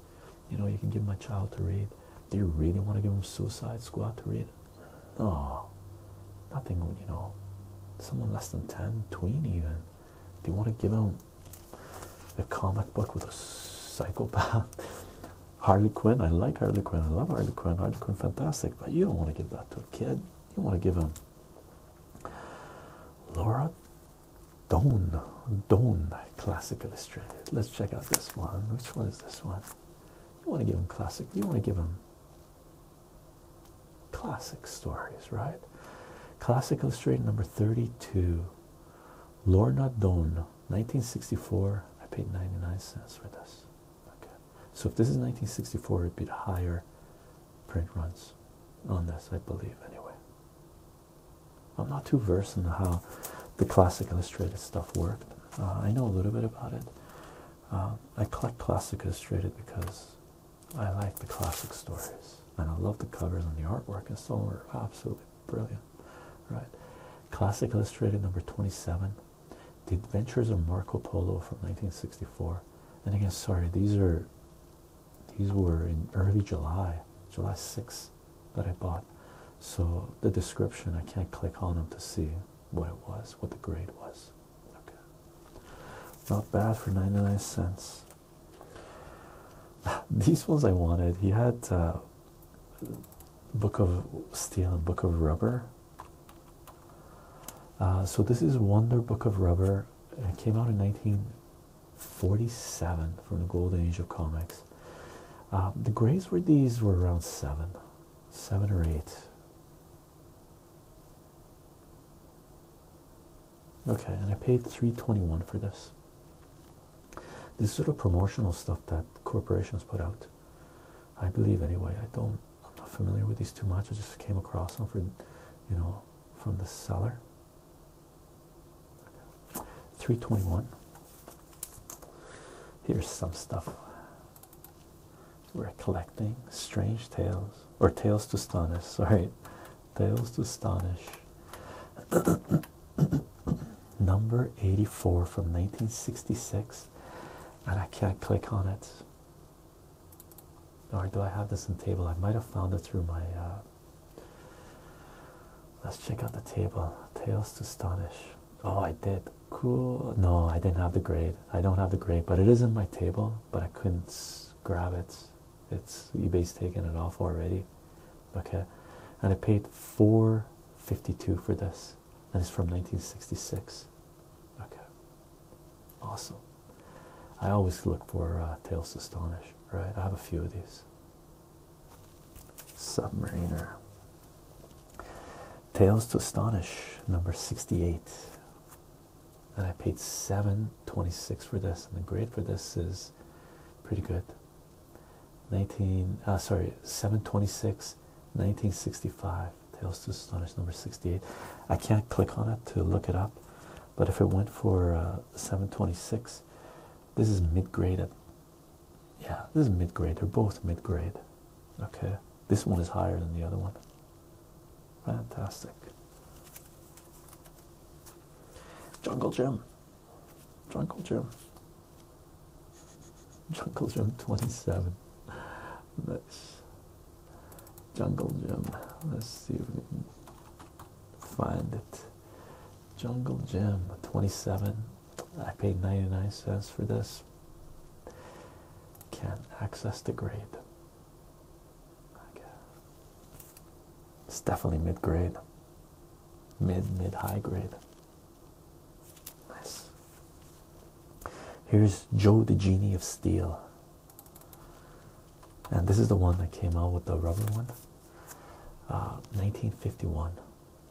you know you can give my child to read do you really want to give him suicide squad to read no nothing you know someone less than 10 tween even do you want to give him a comic book with a psychopath harley quinn i like harley quinn i love harley quinn harley quinn fantastic but you don't want to give that to a kid you want to give him laura Don, don, classic illustrated. Let's check out this one. Which one is this one? You want to give him classic, you want to give him classic stories, right? Classic illustrated number 32. Lorna Doan, 1964. I paid 99 cents for this. Okay. So if this is 1964, it'd be the higher print runs on this, I believe, anyway. I'm not too versed in how the classic illustrated stuff worked. Uh, I know a little bit about it. Um, I collect classic illustrated because I like the classic stories and I love the covers and the artwork and so are absolutely brilliant. Right. Classic illustrated number 27. The Adventures of Marco Polo from 1964. And again, sorry, these are these were in early July, July sixth that I bought. So the description, I can't click on them to see what it was, what the grade was. Okay. Not bad for 99 cents. These ones I wanted. He had uh, Book of Steel and Book of Rubber. Uh, so this is Wonder Book of Rubber. It came out in 19 47 from the golden age of comics. Uh, the greys were these were around seven, seven or eight. Okay, and I paid 321 for this. This sort of promotional stuff that corporations put out. I believe anyway. I don't I'm not familiar with these too much. I just came across them for you know from the seller. 321. Here's some stuff we're collecting strange tales or tales to astonish. Sorry, tales to astonish. Number 84 from 1966, and I can't click on it. Or do I have this in table? I might have found it through my uh, Let's check out the table. Tales to Astonish. Oh, I did. Cool. No, I didn't have the grade. I don't have the grade, but it is in my table, but I couldn't grab it. It's eBay's taken it off already. Okay. And I paid 452 for this. And it's from 1966. Okay. Awesome. I always look for uh, Tales to Astonish, right? I have a few of these. Submariner. Tales to Astonish, number 68. And I paid 726 for this, and the grade for this is pretty good. 19 uh, sorry 726 1965 Tales to Astonish number 68. I can't click on it to look it up, but if it went for uh, 726, this is mid grade yeah, this is mid grade. They're both mid grade. Okay, this one is higher than the other one. Fantastic. Jungle Jim. Jungle Jim. Jungle Jim 27. seven. Let's Jungle Jim. Let's see if we can find it. Jungle Gym 27. I paid 99 cents for this. Can't access the grade. It's definitely mid grade. Mid, mid, high grade. Nice. Here's Joe the Genie of Steel. And this is the one that came out with the rubber one. 1951. Uh,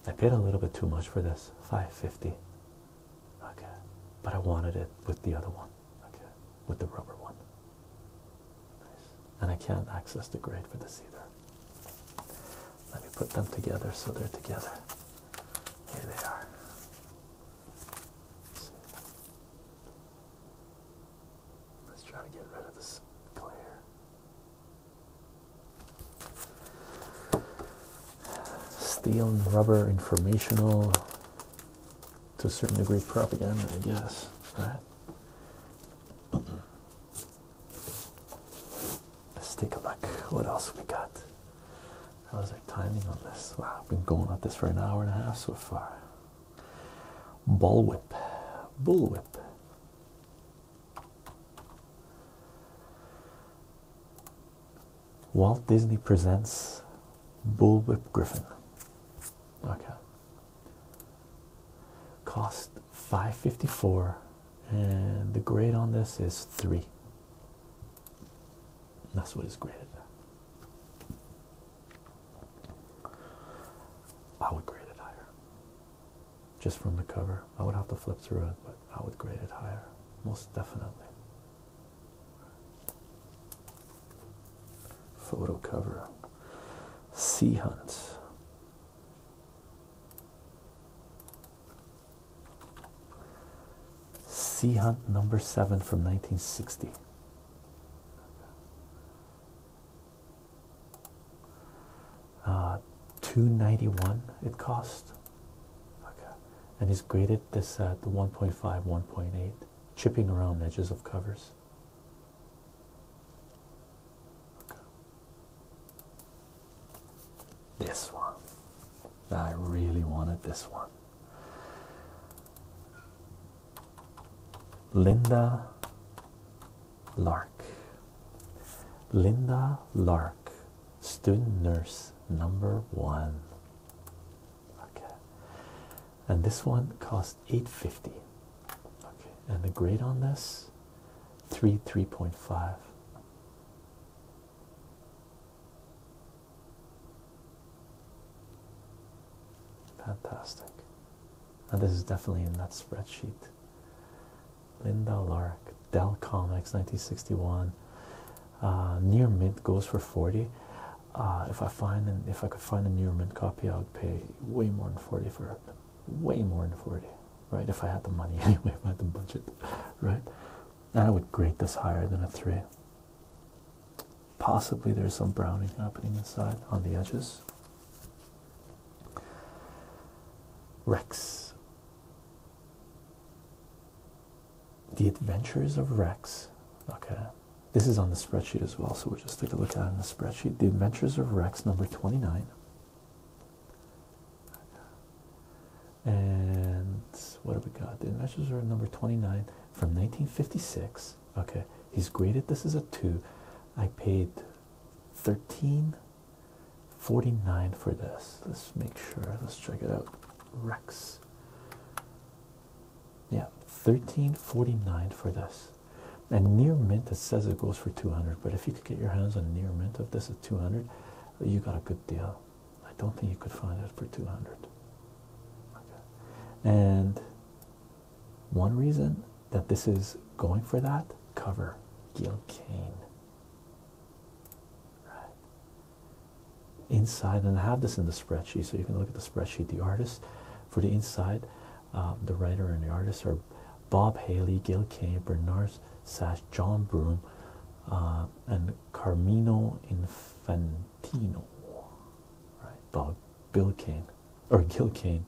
I paid a little bit too much for this 550 okay but I wanted it with the other one okay with the rubber one nice. and I can't access the grade for this either let me put them together so they're together here they are let's, try to get rid of this glare Steel and rubber, informational, to a certain degree, propaganda, I guess. Right? Let's take a look. What else we got? How's our timing on this? Wow, I've been going on this for an hour and a half so far. Bullwhip, bullwhip, Walt Disney presents Bullwhip Griffin. Okay. Cost 554 and the grade on this is 3. That's what is graded. I would grade higher just from the cover. I would have to flip through it, but I would grade it higher, most definitely. Photo cover. Sea Hunt. Sea Hunt number seven from 1960 uh, 291 it cost okay and he's graded this at the 1.5 1.8 chipping around edges of covers okay. this one I really wanted this one Linda Lark. Linda Lark, student nurse number one. Okay. And this one cost 850. Okay. And the grade on this 3 3.5. Fantastic. Now this is definitely in that spreadsheet. Linda Lark, Dell Comics, 1961. Uh, near mint goes for 40. Uh, if I find and if I could find a near mint copy, I would pay way more than 40 for it. Way more than 40, right? If I had the money anyway, if I had the budget, right? And I would grade this higher than a three. Possibly there's some browning happening inside on the edges. Rex. The Adventures of Rex. Okay, this is on the spreadsheet as well, so we'll just take a look at it in the spreadsheet. The Adventures of Rex, number 29. And what have we got? The Adventures are number 29 from 1956. Okay, he's graded. This is a two. I paid 13 49 for this. Let's make sure. Let's check it out. Rex. Yeah, 1349 for this. And near mint, that says it goes for 200. But if you could get your hands on a near mint of this at 200, you got a good deal. I don't think you could find it for 200. Okay. And one reason that this is going for that cover Gil Kane inside and I have this in the spreadsheet so you can look at the spreadsheet the artist for the inside um, the writer and the artist are Bob Haley, Gil Kane, Bernard Sash, John Broom, uh, and Carmine Infantino. Right, Bob Bill Kane or Gil Kane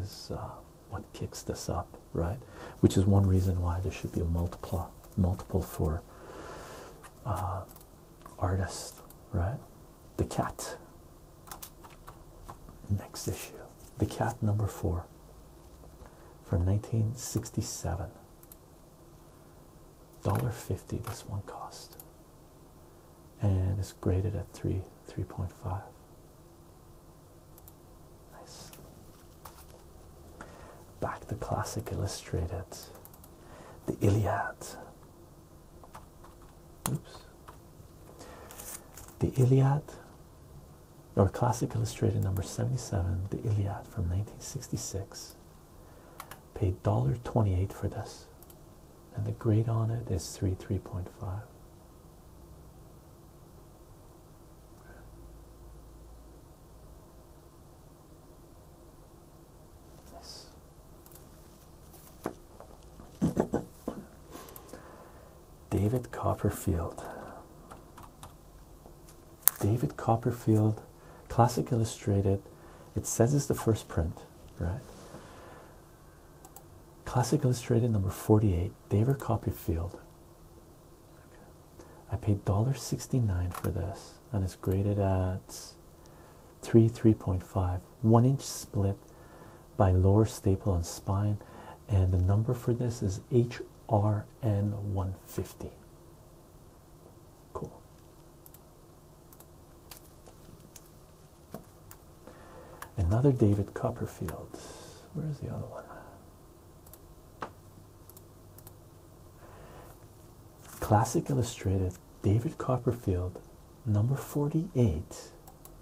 is uh, what kicks this up right which is one reason why there should be a multiple multiple for uh, artist right the cat next issue the cat number four from 1967 sixty-seven, dollar fifty. this one cost and it's graded at 3 3.5 Nice. Back to Classic Illustrated. The Iliad. Oops. The Iliad, or Classic Illustrated number 77, The Iliad from 1966. Paid $1.28 for this. And the grade on it is 3 3.5. Yes. David Copperfield. David Copperfield, Classic Illustrated. It says it's the first print, right? Classic Illustrated number 48, David Copperfield. I paid $1.69 for this and it's graded at 3 3.5 one inch split by lower staple on spine and the number for this is HRN 150 cool another David Copperfield where's the other one Classic Illustrated, David Copperfield, number 48.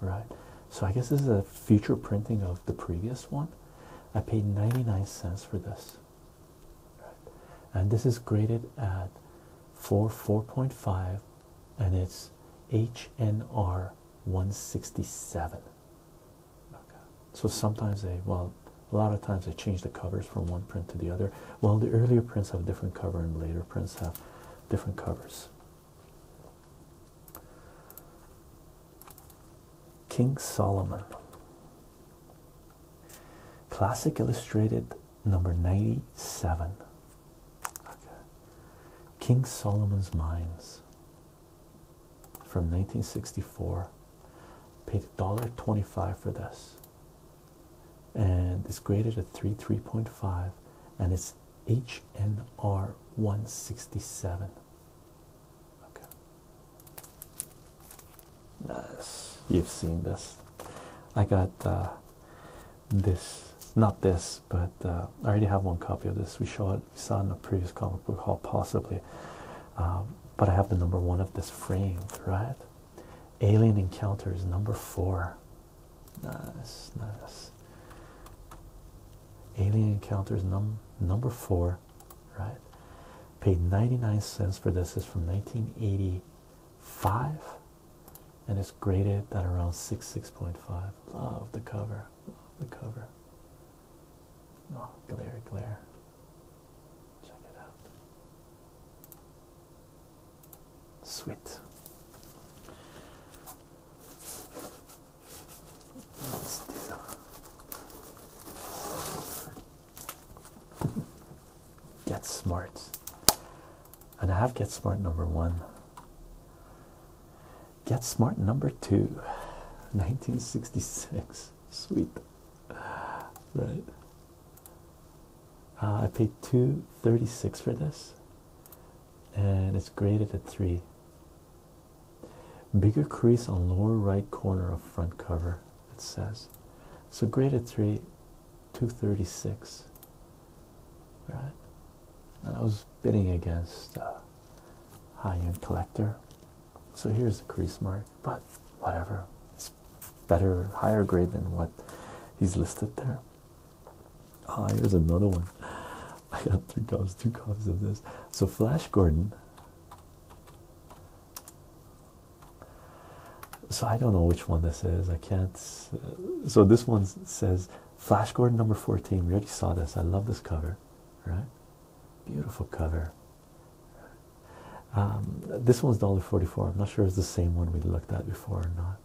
Right, so I guess this is a future printing of the previous one. I paid 99 cents for this, and this is graded at 4 4.5 and it's HNR 167. So sometimes they, well, a lot of times they change the covers from one print to the other. Well, the earlier prints have different cover and later prints have different covers. King Solomon. Classic Illustrated number 97. King Solomon's Mines from 1964 paid $1.25 for this and it's graded at 3 3.5 and it's hnr 167 okay nice you've seen this i got uh, this not this but uh, i already have one copy of this we it saw in the previous comic book haul, possibly. Um, but I have the number one of this frame, right? Alien Encounters, number four. Nice, nice. Alien Encounters, num number four, right? Paid 99 cents for this. Is from 1985, and it's graded at around 6, 6.5. Love the cover. Love the cover. Oh, glare, glare. Check it out. Sweet. Nice deal. Get smart. And I have get smart number one. Get Smart number two, 1966. Sweet, right? Uh, I paid 236 for this, and it's graded at three. Bigger crease on lower right corner of front cover, it says. So graded three, 236. Right, and I was bidding against a uh, high end collector so here's the crease mark, but whatever. It's better, higher grade than what he's listed there. Ah, oh, here's another one. I got three copies, two copies of this. So Flash Gordon. So I don't know which one this is. I can't. Uh, so this one says Flash Gordon number 14. We already saw this. I love this cover, right? Beautiful cover. Um, this one's $1.44. I'm not sure it's the same one we looked at before or not.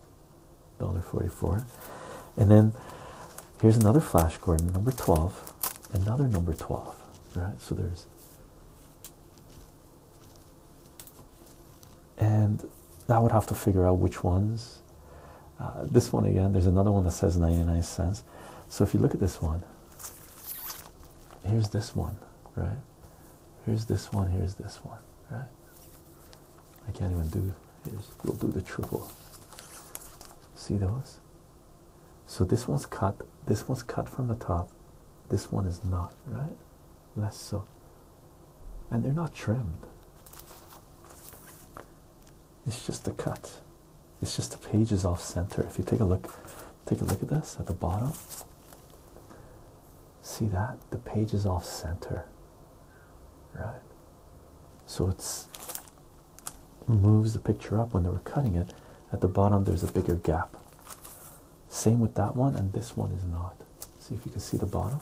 $1.44. And then here's another Flash card, number 12. Another number 12. Right? So there's. And I would have to figure out which ones. Uh, this one again, there's another one that says 99 cents. So if you look at this one, here's this one, right? Here's this one, here's this one, right? I can't even do, here's, we'll do the triple. See those? So this one's cut, this one's cut from the top, this one is not, right? Less so. And they're not trimmed. It's just a cut. It's just the pages off center. If you take a look, take a look at this at the bottom. See that? The pages off center. Right? So it's moves the picture up when they were cutting it. At the bottom there's a bigger gap. Same with that one, and this one is not. See if you can see the bottom.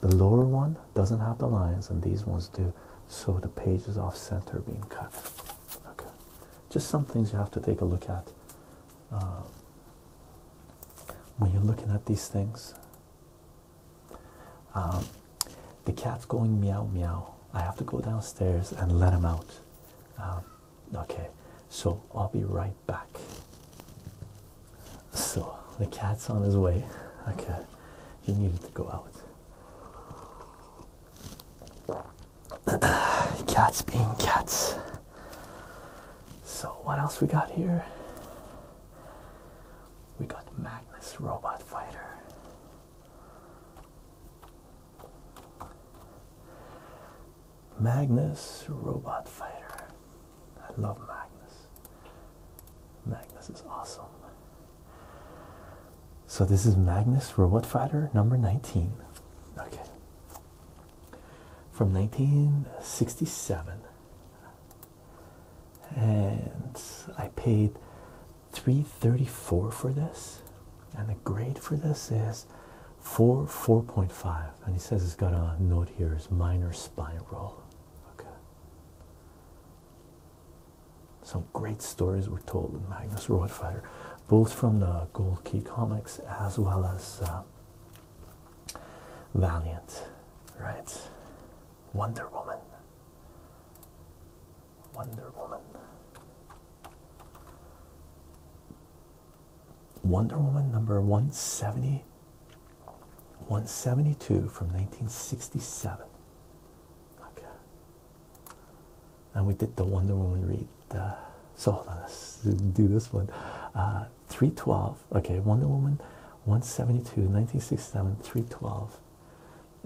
The lower one doesn't have the lines and these ones do so the pages off center being cut okay just some things you have to take a look at um, when you're looking at these things um, the cat's going meow meow i have to go downstairs and let him out um, okay so i'll be right back so the cat's on his way okay he needed to go out cats being cats. So what else we got here? We got Magnus Robot Fighter. Magnus Robot Fighter. I love Magnus. Magnus is awesome. So this is Magnus Robot Fighter number 19. Okay. From 1967. And I paid 334 for this. And the grade for this is 4 4.5. And he says it's got a note here is minor spiral. Okay. Some great stories were told in Magnus Roadfighter, both from the Gold Key comics as well as uh, Valiant, right? Wonder Woman. Wonder Woman. Wonder Woman number 170, 172 from 1967. Okay. And we did the Wonder Woman read. so hold on, let's do this one. Uh, 312. Okay, Wonder Woman 172, 1967, 312.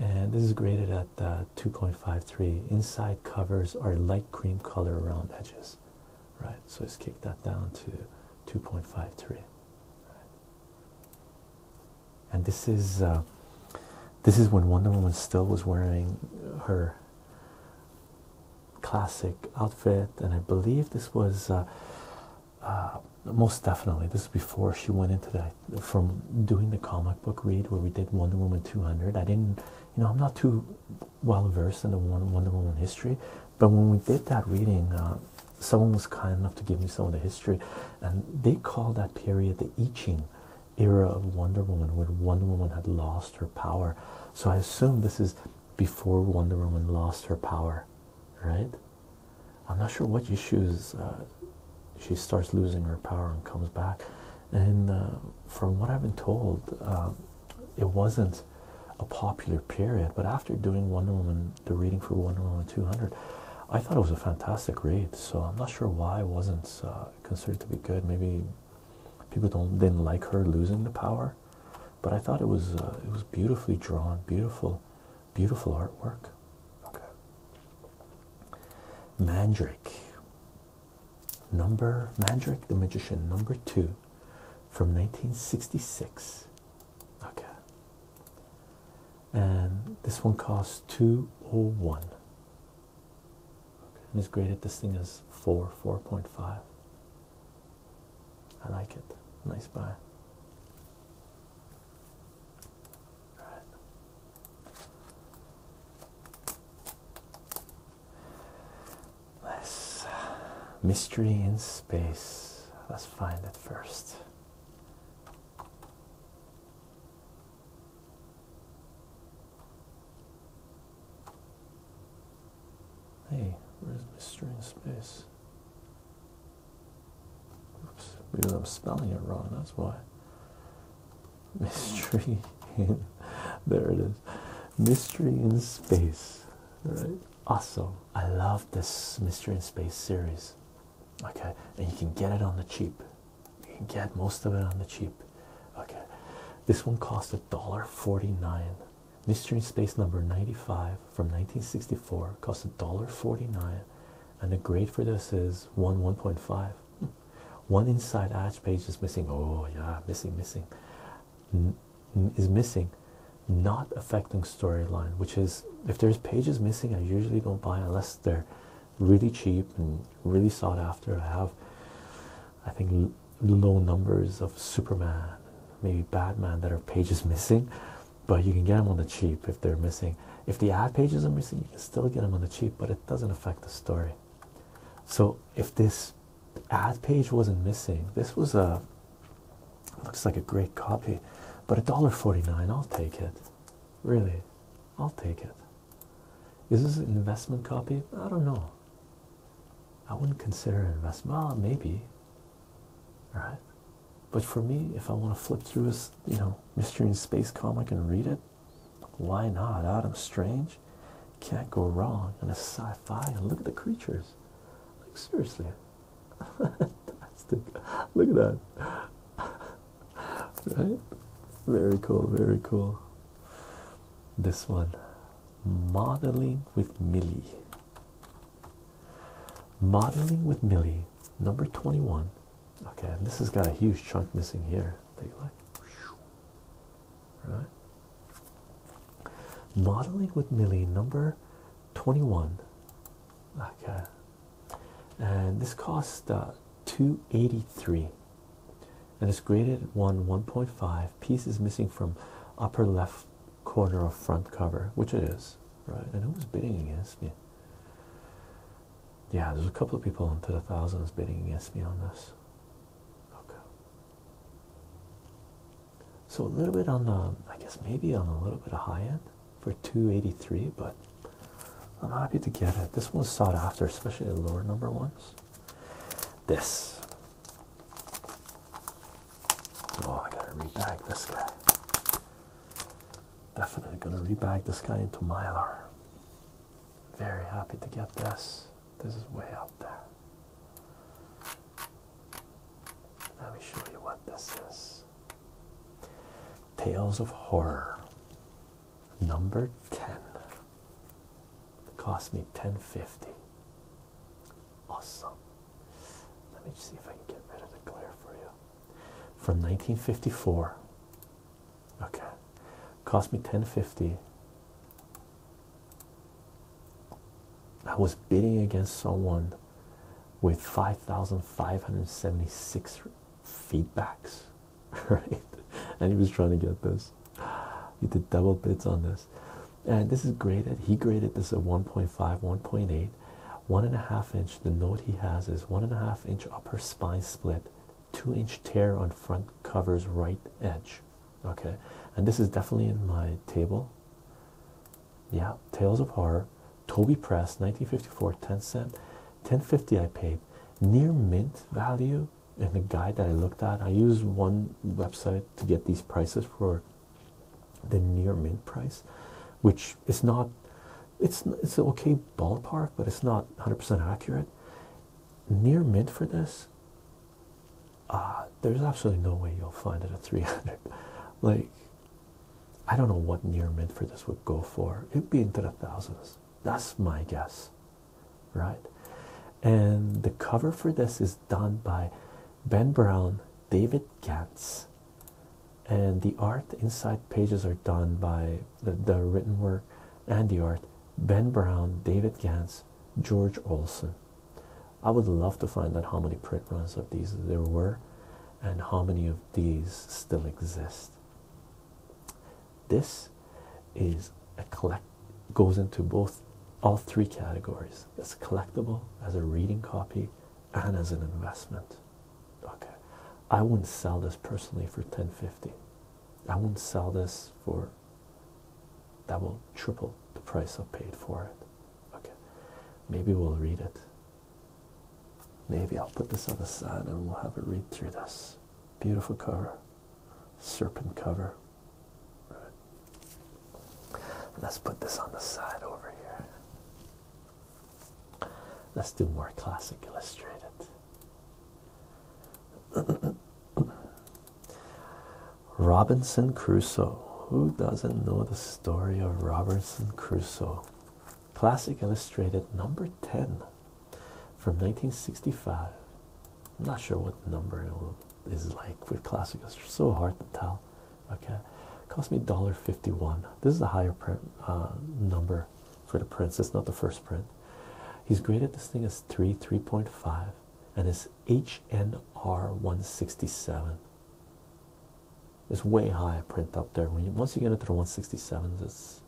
And this is graded at uh, 2.53. Inside covers are light cream color around edges. Right, so let's kick that down to 2.53 and this is uh, this is when Wonder Woman still was wearing her classic outfit, and I believe this was uh, uh, most definitely this is before she went into that from doing the comic book read where we did Wonder Woman 200. I didn't, you know, I'm not too well versed in the Wonder Woman history, but when we did that reading, someone was kind enough to give me some of the history, and they call that period the I Ching era of Wonder Woman, where Wonder Woman had lost her power. So I assume this is before Wonder Woman lost her power, right? I'm not sure what issues uh, she starts losing her power and comes back. And uh, from what I've been told, um, it wasn't a popular period. But after doing Wonder Woman, the reading for Wonder Woman 200, I thought it was a fantastic read, so I'm not sure why it wasn't uh, considered to be good. Maybe people don't didn't like her losing the power, but I thought it was uh, it was beautifully drawn, beautiful, beautiful artwork. Okay. Mandrake. Number Mandrake the Magician number two, from 1966. Okay and this one costs 201 and it's graded this thing is 4 4.5 i like it nice buy all mystery in space. Let's find it first. Hey, where's mystery in space? Oops, because I'm spelling it wrong, that's why. Mystery in there it is. Mystery in space. All right. Awesome. I love this Mystery in Space series okay and you can get it on the cheap you can get most of it on the cheap okay this one cost a dollar 49 mystery space number 95 from 1964 cost a dollar 49 and the grade for this is 1 1.5 hmm. one inside edge page is missing oh yeah missing missing is missing not affecting storyline which is if there's pages missing i usually don't buy unless they're really cheap and really sought after. I have, I think, low numbers of Superman, maybe Batman that are pages missing, but you can get them on the cheap if they're missing. If the ad pages are missing, you can still get them on the cheap, but it doesn't affect the story. So if this ad page wasn't missing, this was a looks like a great copy, but a dollar forty nine. I'll take it. Really, I'll take it. Is this an investment copy? I don't know. I wouldn't consider an investment. Well, maybe. All right. But for me, if I want to flip through this, you know, mystery and space comic and read it, why not? Adam Strange can't go wrong. And a sci-fi. And look at the creatures. Like seriously. Fantastic. Look at that right? Very cool, very cool. This one Modeling with Millie. Modeling with Millie, number 21. Okay, this has got a huge chunk missing here. Take a look. Right? Modeling with Millie, number 21. Okay, and this cost uh, 283 and it's graded 1 1.5 piece is missing from upper left corner of front cover which it is right and who's bidding against me yeah there's a couple of people into the thousands bidding against me on this okay so a little bit on the i guess maybe on a little bit of high end for 283 but I'm happy to get it. This one's sought after, especially the lower number ones. This. Oh, I gotta rebag this guy. Definitely gonna rebag this guy into Mylar. Very happy to get this. This is way out there. Let me show you what this is. Tales of Horror number 10 cost me 1050 awesome let me see if i can get rid of the glare for you from 1954 okay cost me 1050 i was bidding against someone with 5576 feedbacks right? And he was trying to get this. He did double bids on this. And this is graded. He graded this at 1.5, 1.8, one and a half inch. The note he has is one and a half inch upper spine split, two inch tear on front cover's right edge. Okay. And this is definitely in my table. Yeah. Tales of Horror. Toby Press, 1954, 10 cent. 1050 I paid near mint value in the guide that I looked at. I use one website to get these prices for the near mint price, which is not it's it's an okay ballpark, but it's not 100% accurate. Near mint for this, uh, there's absolutely no way you'll find it at 300. Like, I don't know what near mint for this would go for. It'd be into the thousands. That's my guess, right? And the cover for this is done by Ben Brown, David Gantz, and the art inside pages are done by the, written work and the art Ben Brown, David Gantz, George Olson. I would love to find out how many print runs of these there were and how many of these still exist. This is a collect goes into both all three categories as collectible, as a reading copy, and as an investment. Okay, I wouldn't sell this personally for 1050. I wouldn't sell this for double, triple the price I paid for it. Okay, maybe we'll read it. Maybe I'll put this on the side and we'll have a read through this. Beautiful cover, serpent cover. Let's put this on the side over here. Let's do more classic illustrated. Robinson Crusoe. Who doesn't know the story of Robinson Crusoe? Classic Illustrated number 10 from 1965. I'm not sure what number is like with classic. It's so hard to tell. Okay, cost me $1.51. This is a higher print uh, number for the prints. It's not the first print. He's graded this thing as three, 3.5, and it's HNR 167. It's way higher print up there. once you get into the 167s, it's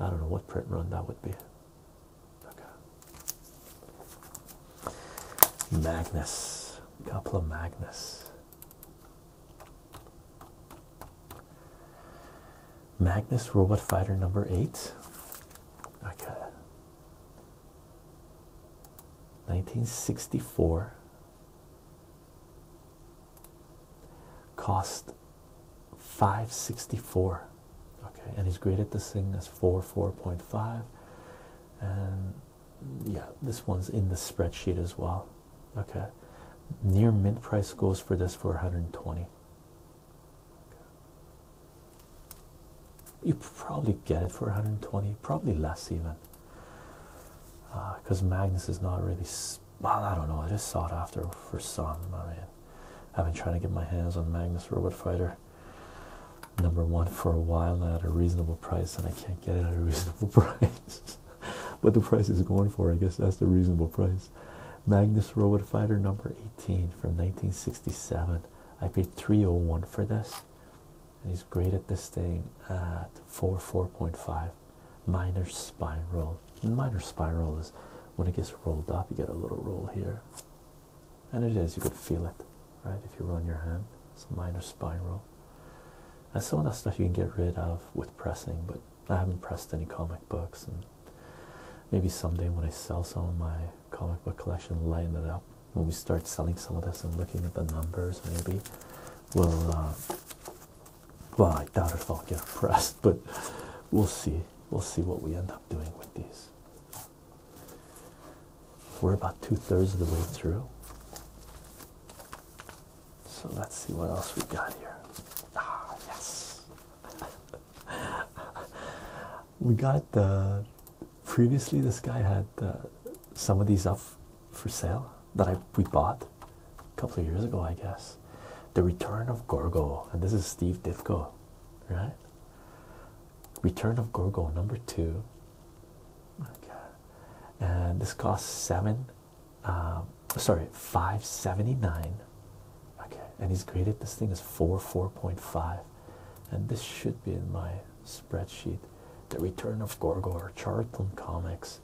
I don't know what print run that would be. Magnus. Couple Magnus. Magnus Robot Fighter number eight. Okay. 1964 cost 564 okay and he's graded this thing as 4 4.5 and yeah this one's in the spreadsheet as well okay near mint price goes for this for 120 you probably get it for 120 probably less even because uh, Magnus is not really well, I don't know. I just sought after for some. I mean, I've been trying to get my hands on Magnus Robot Fighter number one for a while now at a reasonable price, and I can't get it at a reasonable price. but the price is going for, I guess that's the reasonable price. Magnus Robot Fighter number 18 from 1967. I paid 301 for this, and he's graded this thing at 4 4.5 minor spiral minor spiral is when it gets rolled up you get a little roll here and it is you can feel it right if you run your hand it's a minor spiral and some of that stuff you can get rid of with pressing but i haven't pressed any comic books and maybe someday when i sell some of my comic book collection line it up when we start selling some of this and looking at the numbers maybe we'll uh, well, I doubt if I'll get pressed, but we'll see. We'll see what we end up doing with these. We're about two thirds of the way through. So let's see what else we got here. Ah, yes. we got the. Uh, previously, this guy had uh, some of these up for sale that I we bought a couple of years ago, I guess. The Return of Gorgo, and this is Steve Ditko, right? Return of Gorgo number two. and this costs seven. Um, sorry, five seventy nine. Okay, and he's graded this thing as four four point five, and this should be in my spreadsheet. The Return of Gorgo or Charlton Comics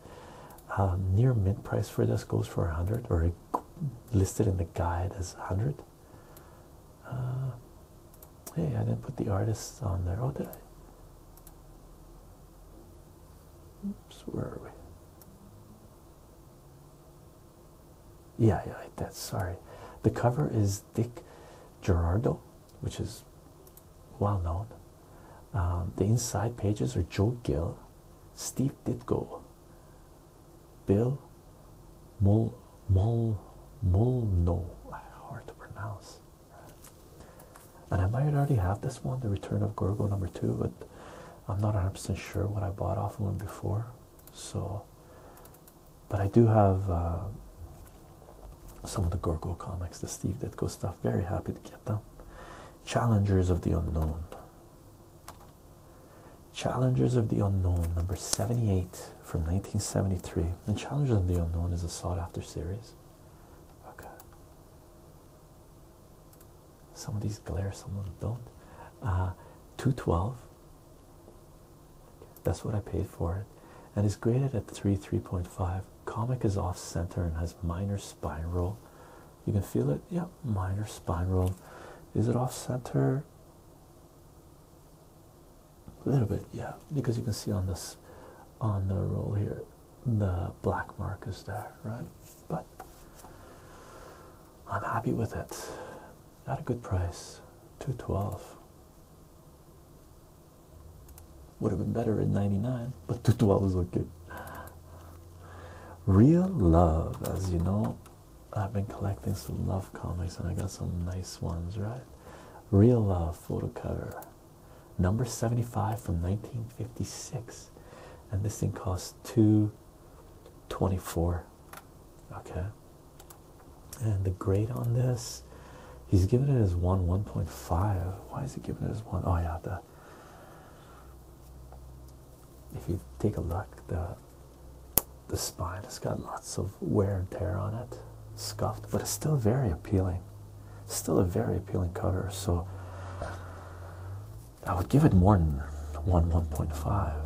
um, near mint price for this goes for 100 or it listed in the guide as 100 uh, hey i didn't put the artist on there oh did i where are we yeah yeah that's sorry the cover is dick gerardo which is well known um, the inside pages are joe gill steve ditko Bill Mul, Mol Mol Molno. Hard to pronounce. And I might already have this one, The Return of Gorgo number two, but I'm not 100% sure what I bought off of him before. So, but I do have uh, some of the Gorgo comics, the Steve Ditko stuff. Very happy to get them. Challengers of the Unknown. Challengers of the Unknown, number 78 from 1973. And Challengers of the Unknown is a sought after series. Okay. Some of these glare, some of them don't. Uh, 212. That's what I paid for it. And is graded at 3, 3.5. Comic is off center and has minor spine roll. You can feel it. yeah. minor spiral. Is it off center? A little bit, yeah, because you can see on this on the roll here the black mark is there, right? But I'm happy with it. Not a good price. 212. Would have been better at 99, but 212 is okay. Real love, as you know, I've been collecting some love comics and I got some nice ones, right? Real Love photo cover number 75 from 1956, and this thing costs 224. Okay, and the grade on this he's given it as one 1.5. Why is he giving it as one? Oh, yeah, the if you take a look, the the spine has got lots of wear and tear on it, scuffed, but it's still very appealing. Still a very appealing cover. So I would give it more than one, one point five,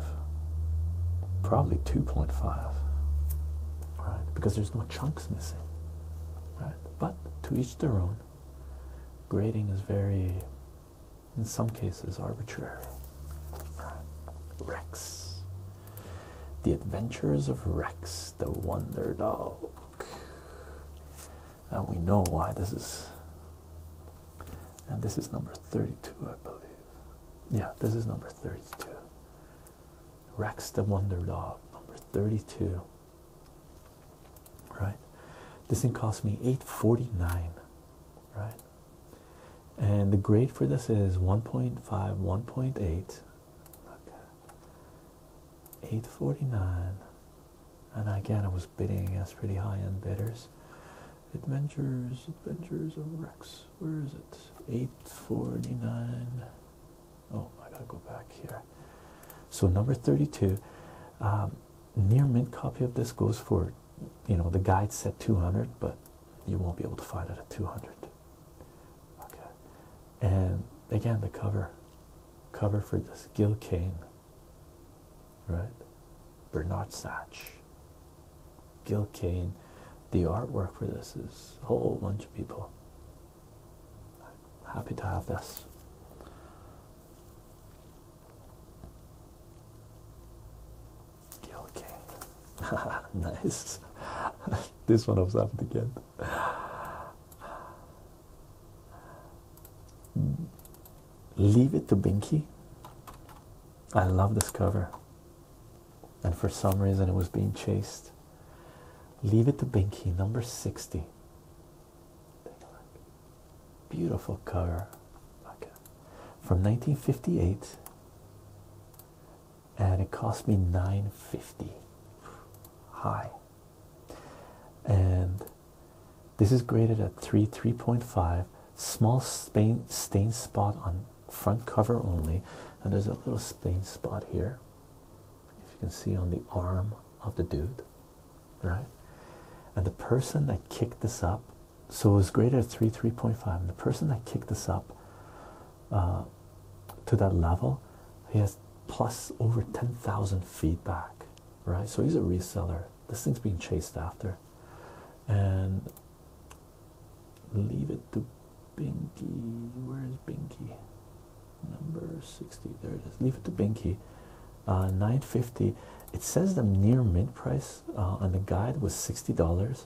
probably two point five, right? Because there's no chunks missing, right? But to each their own. Grading is very in some cases arbitrary. Rex. The Adventures of Rex the Wonder Dog. And we know why this is. And this is number 32, I believe. Yeah, this is number 32. Rex the Wonder Dog, number 32. Right? This thing cost me 849 right? And the grade for this is 1.5, 1.8, 849. And again, I was bidding against pretty high-end bidders. Adventures, Adventures of Rex, where is it? 849. Oh, I gotta go back here. So number 32. Um, near mint copy of this goes for you know the guide said 200 but you won't be able to find it at 200 okay and again the cover cover for this gil kane right bernard satch gil kane the artwork for this is a whole bunch of people happy to have this Gil King. nice. this one I was happy to get. Leave it to Binky. I love this cover. And for some reason it was being chased. Leave it to Binky, number 60. Beautiful cover. From 1958 and it cost me 950 high. And this is graded at 3 3.5 small stain spot on front cover only and there's a little stain spot here if you can see on the arm of the dude right and the person that kicked this up so it was greater at 3 3.5 the person that kicked this up uh, to that level he has plus over 10,000 feedback right so he's a reseller this thing's being chased after and leave it to Binky where is Binky number 60 there it is leave it to Binky uh, 950 it says the near mint price uh, on the guide was sixty dollars.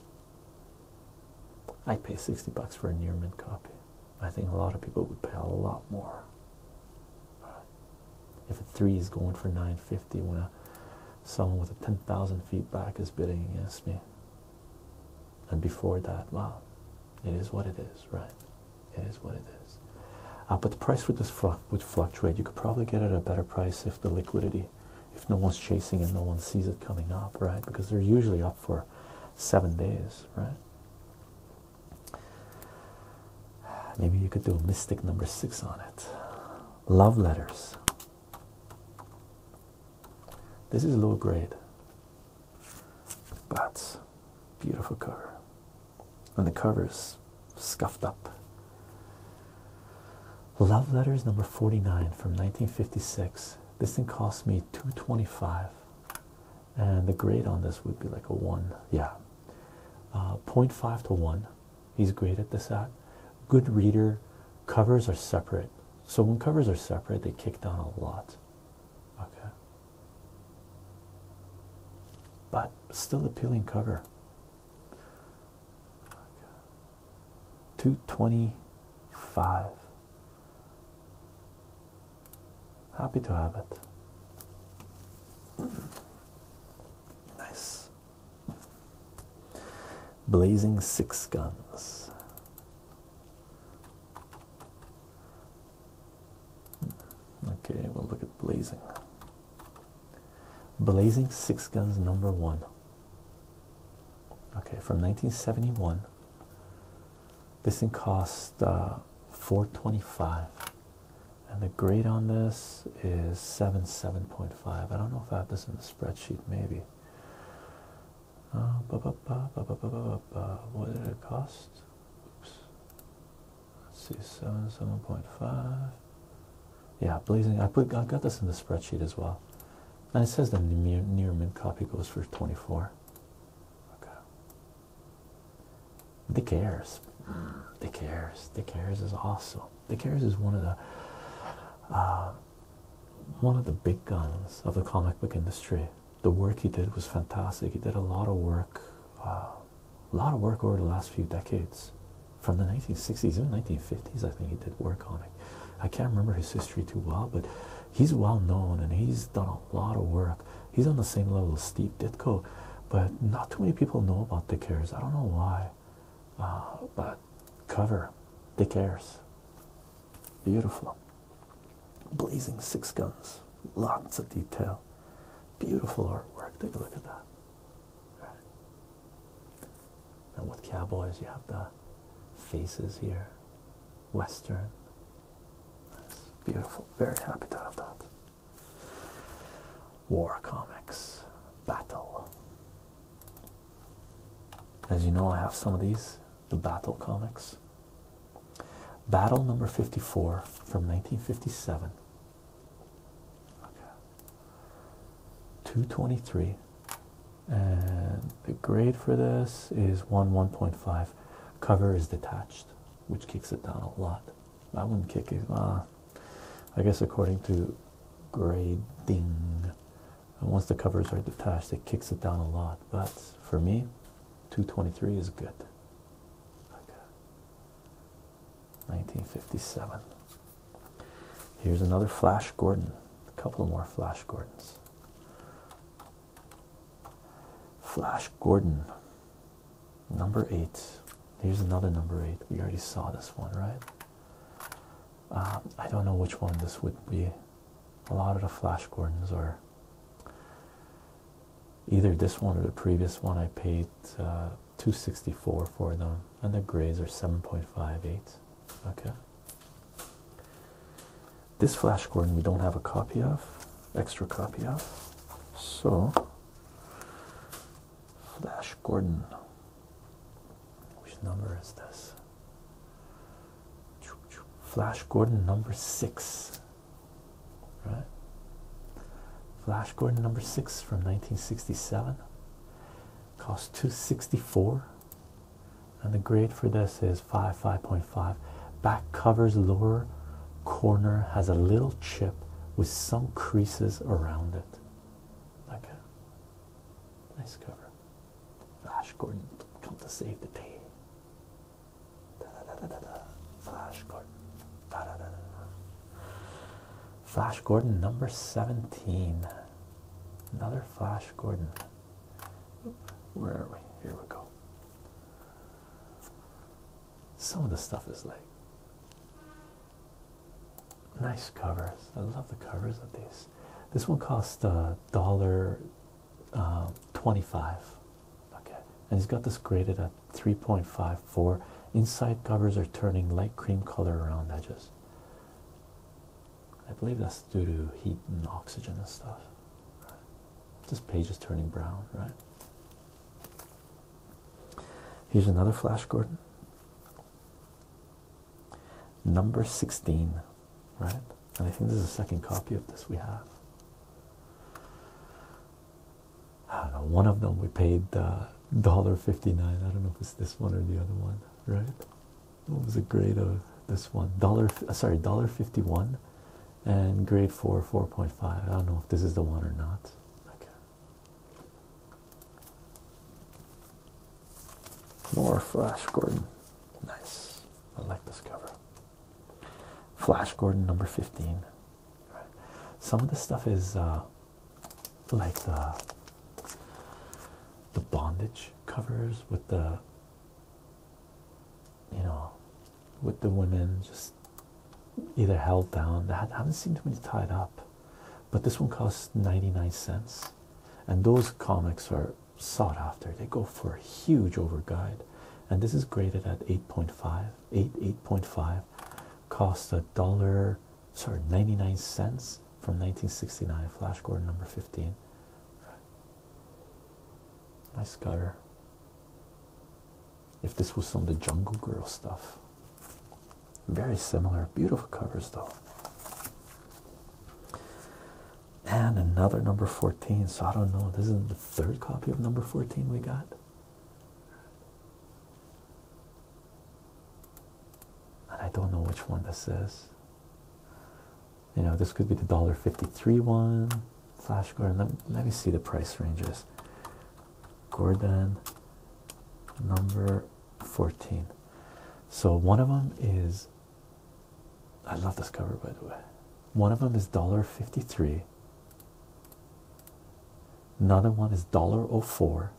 i pay sixty bucks for a near mint copy. I think a lot of people would pay a lot more. If a three is going for nine fifty, when someone with a ten thousand feet back is bidding against me, and before that, wow, it is what it is, right? It is what it is. Uh, but the price for this would fluctuate. You could probably get it a better price if the liquidity, if no one's chasing and no one sees it coming up, right? Because they're usually up for seven days, right? Maybe you could do mystic number six on it. Love letters. This is low grade, but beautiful cover. And the covers scuffed up. Love letters number 49 from 1956. This thing cost me 225 and the grade on this would be like a 1. Yeah. Uh, 0.5 to 1. He's graded this at. Good reader. Covers are separate. So when covers are separate, they kick down a lot. Okay. But still appealing cover. 225 happy to have it nice blazing six guns okay we'll look at blazing Blazing Six Guns number one. Okay, from 1971. This thing cost uh, 425. And the grade on this is 77.5. I don't know if I have this in the spreadsheet, maybe. What did it cost? Let's see, 77.5. Yeah, blazing. I put I got this in the spreadsheet as well. And it says the near, near mint copy goes for 24. Okay. Dick Ayers. Dick Ayers. Dick Ayers is awesome. Dick Ayers is one of the uh, one of the big guns of the comic book industry. The work he did was fantastic. He did a lot of work, uh, a lot of work over the last few decades from the 1960s and 1950s. I think he did work on it. I can't remember his history too well, but he's well known and he's done a lot of work. He's on the same level as Steve Ditko, but not too many people know about Dick Ayers. I don't know why, uh, but cover Dick Ayers, beautiful, blazing six guns, lots of detail, beautiful artwork. Take a look at that. Now with cowboys, you have the faces here, Western. beautiful. Very happy to have that. War comics, battle. As you know, I have some of these, the battle comics. Battle number 54 from 1957 223 and the grade for this is 1 1.5 cover is detached which kicks it down a lot that wouldn't kick it uh, ah, I guess according to grading and once the covers are detached it kicks it down a lot but for me 223 is good okay 1957. Here's another Flash Gordon. A couple more Flash Gordons. Flash Gordon, number eight. Here's another number eight. We already saw this one, right? Uh, I don't know which one this would be. A lot of the Flash Gordons are either this one or the previous one. I paid uh, 264 for them and the grays are 7.58 okay this flash gordon we don't have a copy of extra copy of so flash gordon which number is this flash gordon number six right flash gordon number six from 1967 costs 264 and the grade for this is 5 5.5 back covers lower corner has a little chip with some creases around it okay nice cover flash gordon come to save the day da, da, da, da, da. flash gordon da, da, da, da. Flash Gordon number 17. Another Flash Gordon. Where are we? Here we go. Some of the stuff is like nice covers. I love the covers of these. This one costs a uh, dollar uh, 25. Okay, and he's got this graded at 3.54. Inside covers are turning light cream color around edges. I believe that's due to heat and oxygen and stuff. This page is turning brown, right? Here's another Flash Gordon. Number 16, right? And I think this is a second copy of this we have. one of them we paid uh, dollar fifty nine. I don't know if it's this one or the other one, right? What was the grade of this one? Dollar uh, sorry, dollar fifty one, and grade four four point five. I don't know if this is the one or not. Okay. More Flash Gordon. Nice. I like this cover. Flash Gordon number 15. Some of this stuff is uh, like the the bondage covers with the you know with the women just either held down that haven't seen too many tied up but this one costs 99 cents and those comics are sought after they go for a huge overguide and this is graded at 8.5 8 8.5 costs a dollar sorry 99 cents from 1969 flash gordon number 15 nice cover. if this was some of the jungle girl stuff very similar beautiful covers though and another number 14 so i don't know this is the third copy of number 14 we got and I don't know which one this is. You know, this could be the dollar fifty-three one. Flash Gordon. Let, me see the price ranges. Gordon, number fourteen. So one of them is. I love this cover, by the way. One of them is dollar fifty-three. Another one is dollar oh four,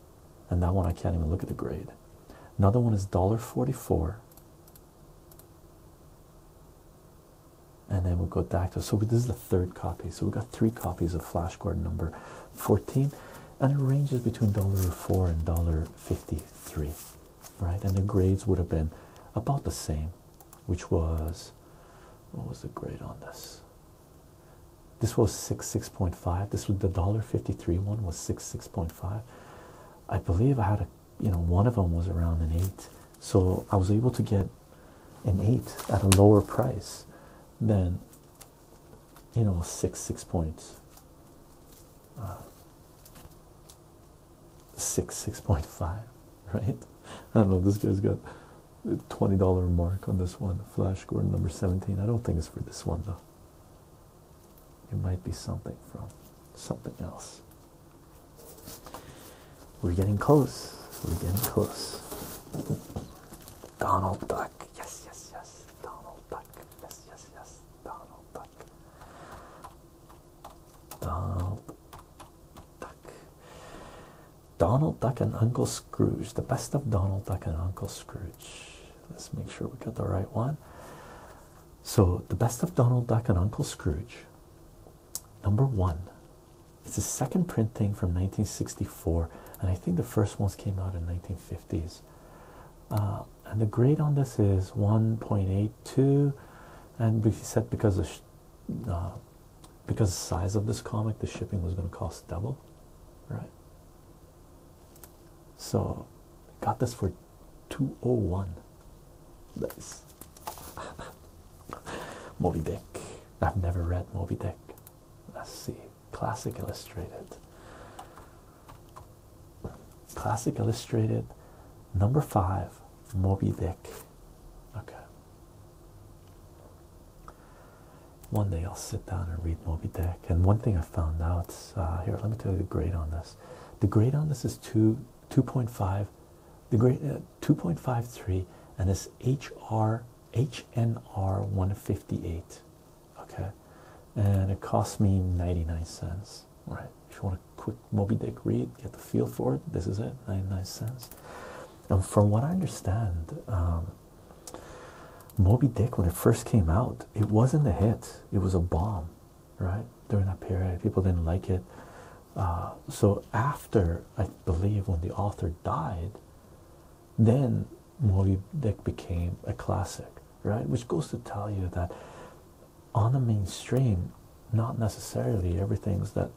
and that one I can't even look at the grade. Another one is $1.44. And then we go back to So this is the third copy. So we have got three copies of Flashcard number 14. And it ranges between $1.04 and $1.53. Right? And the grades would have been about the same, which was what was the grade on this? this was 6 6.5 this was the dollar 53 one was 6 6.5 i believe i had a you know one of them was around an 8 so i was able to get an 8 at a lower price than you know 6 6 uh, 6.5 right i don't know this guy's got $20 mark on this one flash gordon number 17 i don't think it's for this one though it might be something from something else. We're getting close. We're getting close. Donald Duck. Yes, yes, yes. Donald Duck. Yes, yes, yes. Donald Duck. Donald Duck. Donald Duck and Uncle Scrooge. The best of Donald Duck and Uncle Scrooge. Let's make sure we got the right one. So, The Best of Donald Duck and Uncle Scrooge, number one. It's a second printing from 1964, and I think the first ones came out in 1950s. Uh, and the grade on this is 1.82, and we said because of uh, because the size of this comic, the shipping was going to cost double, right? So got this for 201. Nice. Moby Dick. I've never read Moby Dick. Let's see. Classic Illustrated. Classic Illustrated number five. Moby Dick. Okay. One day I'll sit down and read Moby Dick and one thing I found out uh, here let me tell you the grade on this the grade on this is 2 2.5 the grade uh, 2.53 and it's HR HNR 158 okay and it cost me 99 cents right if you want a quick Moby Dick read get the feel for it this is it 99 cents and from what I understand um, Moby Dick when it first came out it wasn't a hit it was a bomb, right? During that period, people didn't like it. Uh, so after I believe when the author died, then Moby Dick became a classic, right? Which goes to tell you that on the mainstream, not necessarily everything that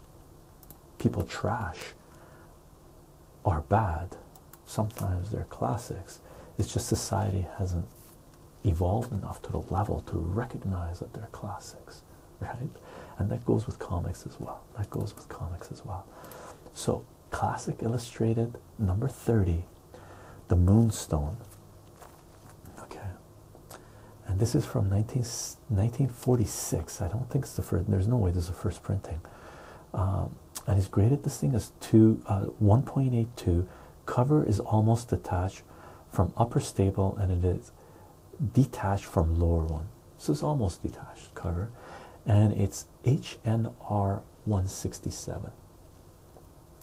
people trash are bad sometimes they're classics. It's just society hasn't evolved enough to the level to recognize that they're classics, right? And that goes with comics as well. That goes with comics as well. So, Classic Illustrated number 30, The Moonstone. Okay. And this is from 19, 1946. I don't think it's the first, there's no way this is the first printing. Um, and he's graded this thing as two, uh, 1.82 Cover is almost detached from upper staple and it is detached from lower one. So it's almost detached cover. And it's HNR 167.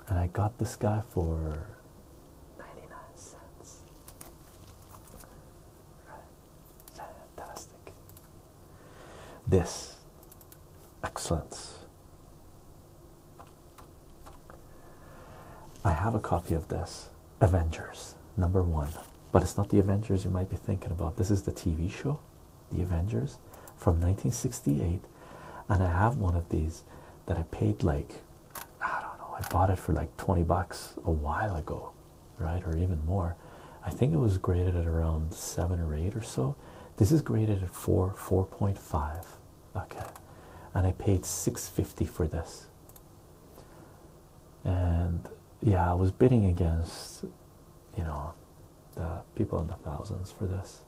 And I got this guy for 99 cents. Fantastic. This excellence I have a copy of this Avengers number one, but it's not the Avengers you might be thinking about. This is the TV show, The Avengers from 1968, and I have one of these that I paid like I don't know, I bought it for like 20 bucks a while ago, right? Or even more. I think it was graded at around seven or eight or so, this is graded at 4, 4.5. Okay. And I paid 650 for this. And yeah, I was bidding against, you know, the people in the thousands for this.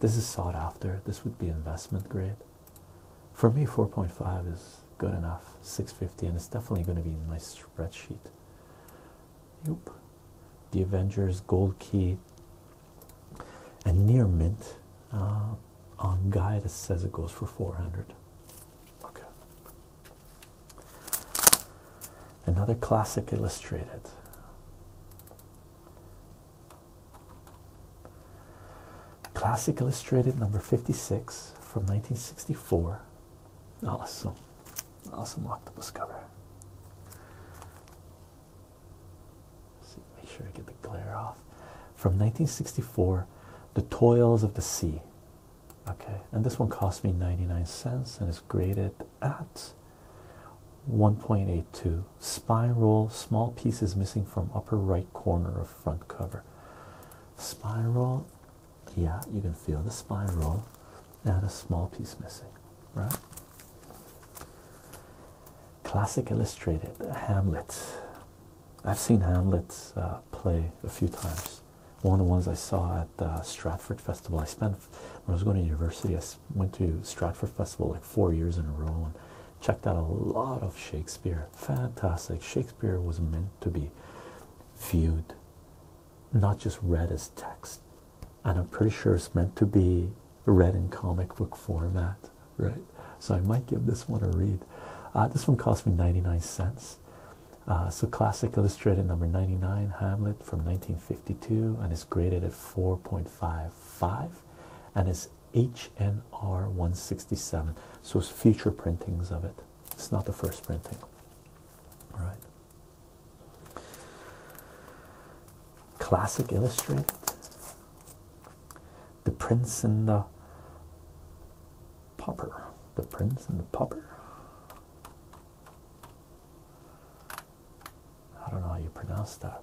This is sought after. This would be investment grade. For me, 4.5 is good enough. 650, and it's definitely going to be in my spreadsheet. Yep the Avengers Gold Key, and near mint uh, on guy says it goes for 400. Okay. Another classic illustrated. Classic Illustrated number 56 from 1964. Awesome. Awesome octopus cover make sure I get the glare off. From 1964, The Toils of the Sea. Okay, and this one cost me 99 cents and is graded at 1.82. Spiral, roll, small pieces missing from upper right corner of front cover. Spiral, yeah, you can feel the spiral and a small piece missing right? Classic Illustrated, Hamlet. I've seen Hamlet uh, play a few times. One of the ones I saw at the Stratford Festival. I spent when I was going to university. I went to Stratford Festival like four years in a row and checked out a lot of Shakespeare. Fantastic. Shakespeare was meant to be viewed, not just read as text and I'm pretty sure it's meant to be read in comic book format, right? So I might give this one a read. Uh, this one cost me 99 cents. Uh, so classic illustrated number 99 Hamlet from 1952 and is graded at 4.55 and is HNR 167. So it's future printings of it. It's not the first printing. All right. Classic Illustrated, The Prince and the Pauper. The Prince and the Pauper. I don't know how you pronounce that.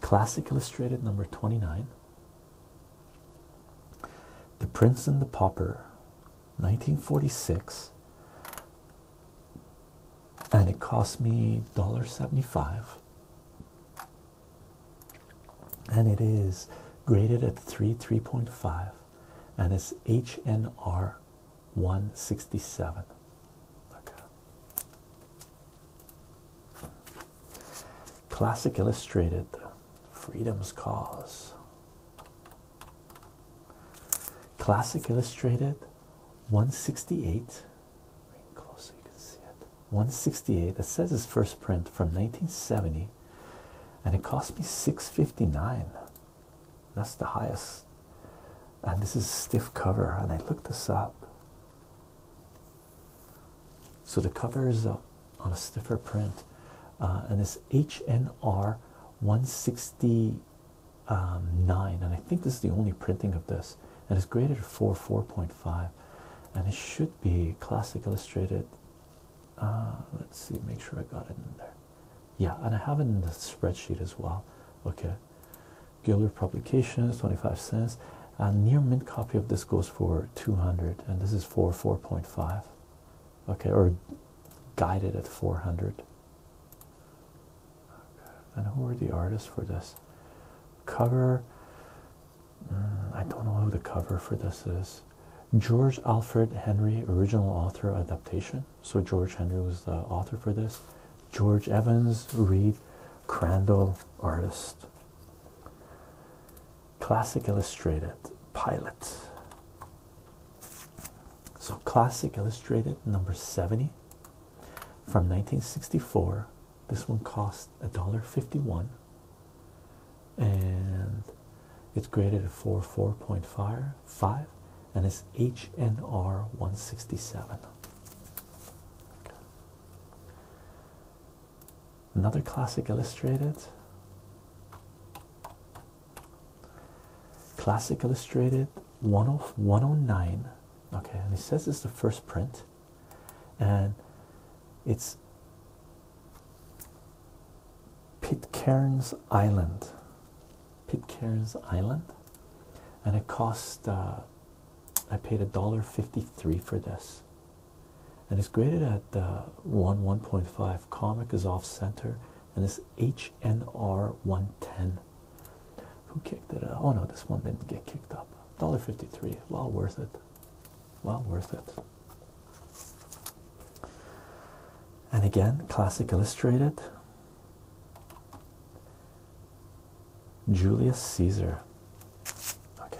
Classic Illustrated number 29. The Prince and the Pauper, 1946. And it cost me $1.75 and it is graded at 3 3.5 and it's hnr 167 classic illustrated freedom's cause classic illustrated 168 Bring close so you can see it. 168. That says his first print from 1970, and it cost me 659. That's the highest. And this is stiff cover, and I looked this up. So the cover is on a stiffer print, uh, and it's HNR 169. Um, and I think this is the only printing of this and it's graded 4 4.5 and it should be classic illustrated uh, let's see make sure I got it in there yeah and I have it in the spreadsheet as well okay Gilder publications 25 cents a near mint copy of this goes for 200 and this is for 4.5 okay or guided at 400 and who are the artists for this? Cover, mm, I don't know who the cover for this is. George Alfred Henry, original author adaptation. So George Henry was the author for this. George Evans, Reed, Crandall, artist. Classic Illustrated, pilot. So Classic Illustrated, number 70 from 1964 this one costs a dollar fifty-one, and it's graded at four four point five five, and it's HNR one sixty-seven. Another classic illustrated. Classic Illustrated 109. Okay, and it says it's the first print and it's Pitcairn's Island, Pitcairn's Island, and it cost. Uh, I paid a dollar fifty-three for this, and it's graded at uh, one one point five. Comic is off center, and it's HNR one ten who kicked it? Out? Oh no, this one didn't get kicked up. $1.53. Well worth it. Well worth it. And again, classic illustrated. Julius Caesar. Okay.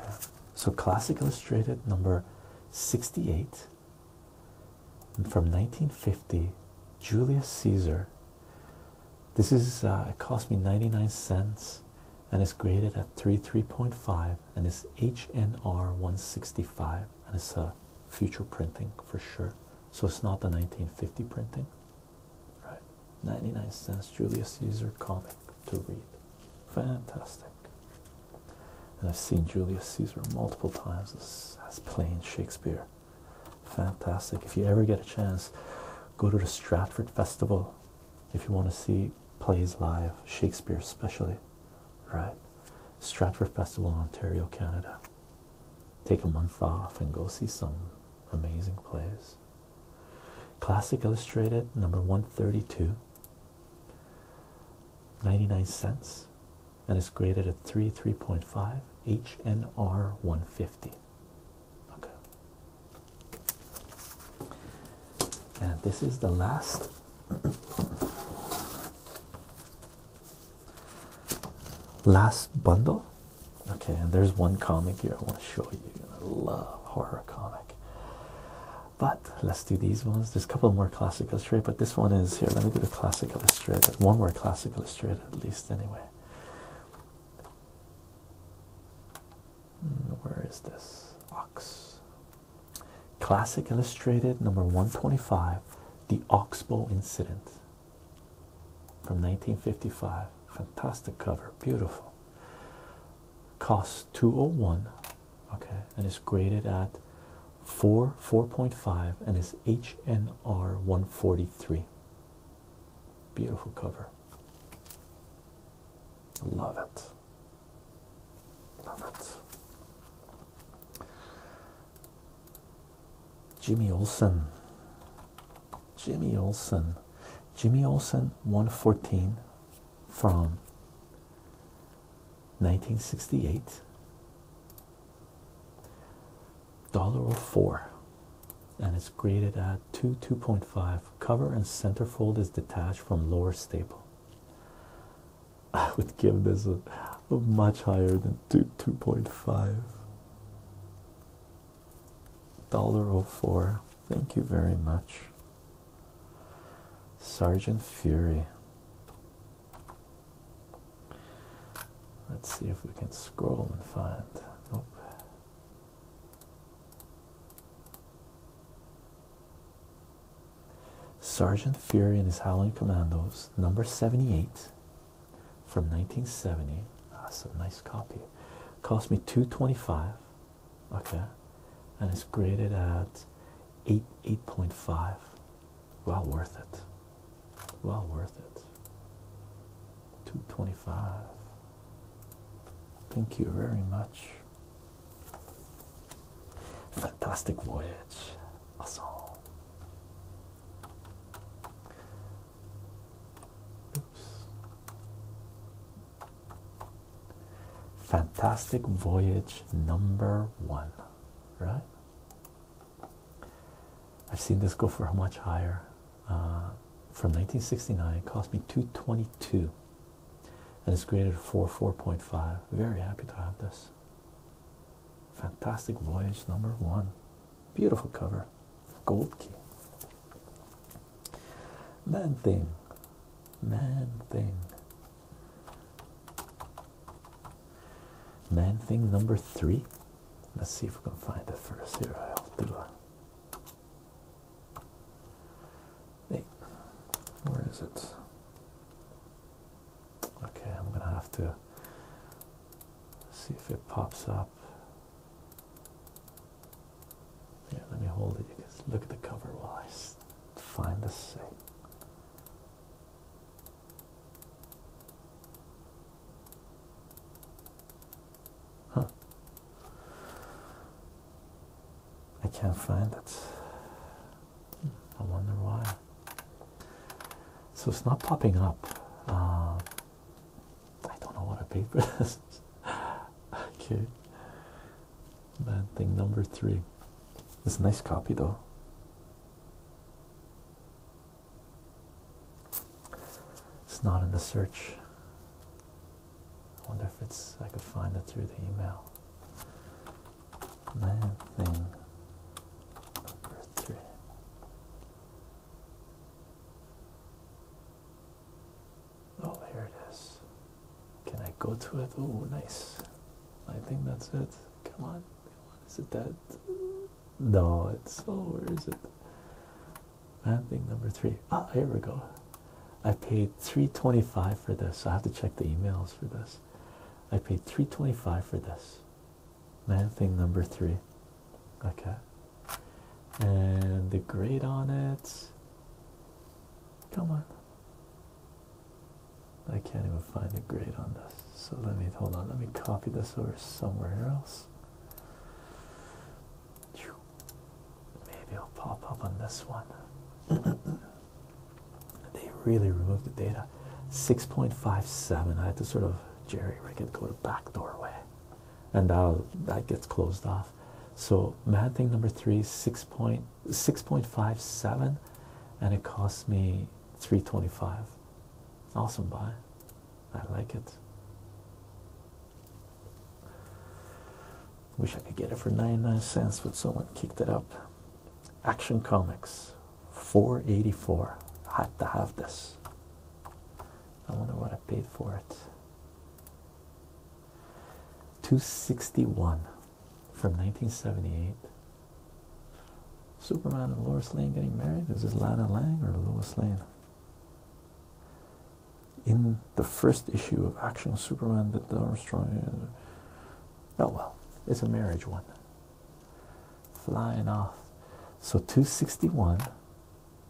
So classic illustrated number 68 from 1950 Julius Caesar this is uh, it cost me 99 cents and it's graded at 3 3.5 and it's HNR 165 and it's a future printing for sure. So it's not the 1950 printing. Right. 99 cents Julius Caesar comic to read. Fantastic. And I've seen Julius Caesar multiple times as playing Shakespeare. Fantastic. If you ever get a chance, go to the Stratford Festival if you want to see plays live, Shakespeare especially, right? Stratford Festival, Ontario, Canada. Take a month off and go see some amazing plays. Classic Illustrated, number 132, 99 cents, and it's graded at 3, 3.5, HNR 150. Okay. And this is the last. Last bundle, okay. And there's one comic here I want to show you. I love horror comic, but let's do these ones. There's a couple more classic illustrated, but this one is here. Let me do the classic illustrated. One more classic illustrated, at least, anyway where is this ox classic illustrated number 125 the oxbow incident from 1955 fantastic cover beautiful costs 201 okay and is graded at 4 4.5 and is hnr 143 beautiful cover Love it. Love it. Jimmy Olsen. Jimmy Olsen. Jimmy Olsen 114 from 1968. Dollar or oh four and it's graded at 2 2.5 cover and center fold is detached from lower staple i would give this a, much higher than 2 2.5 dollar thank you very much sergeant fury let's see if we can scroll and find nope Sergeant Fury and his Howling Commandos, number 78 from 1970. Ah, that's a nice copy. Cost me 225. Okay. And it's graded at 8 8.5. Well worth it. Well worth it. 225. Thank you very much. Fantastic voyage. Awesome. Oops. Fantastic voyage number one, right? I've seen this go for much higher. Uh, from 1969 it cost me 222 and it's graded for 4.5 very happy to have this fantastic voyage number one beautiful cover gold key man thing man thing man thing number three let's see if we can find the first here i'll do a Hey, where is it? Okay, I'm going to have to see if it pops up. Yeah, let me hold it. You can look at the cover while I find the site. Huh. I can't find it. I wonder why. So it's not popping up. Uh, I don't know what a paper is. okay. Bad thing number three. It's a nice copy though. It's not in the search. I wonder if it's I could find it through the email. Man thing number three. Oh, here it is. Can I go to it? Oh, nice. I think that's it. Come on. Come on. Is it that? No, it's. Oh, where is it? Man, thing number three. Ah, here we go. I paid 325 for this. I have to check the emails for this. I paid 325 for this. Man, thing number three. Okay. And the grade on it. Come on. I can't even find the grade on this. So let me hold on. Let me copy this over somewhere else. Maybe it'll pop up on this one. they really removed the data. 6.57. I had to sort of jerry rig it, go the back doorway. And that that gets closed off. So mad thing number three, 6.57, and it cost me 325. Awesome buy. I like it. Wish I could get it for 99 cents, but someone kicked it up. Action Comics 484. had to have this. I wonder what I paid for it. 261 from 1978. Superman and Lois Lane getting married? Is this Lana Lang or Lois Lane? in the first issue of Action Superman that the Armstrong. Uh, oh well, it's a marriage one. Flying off. So 261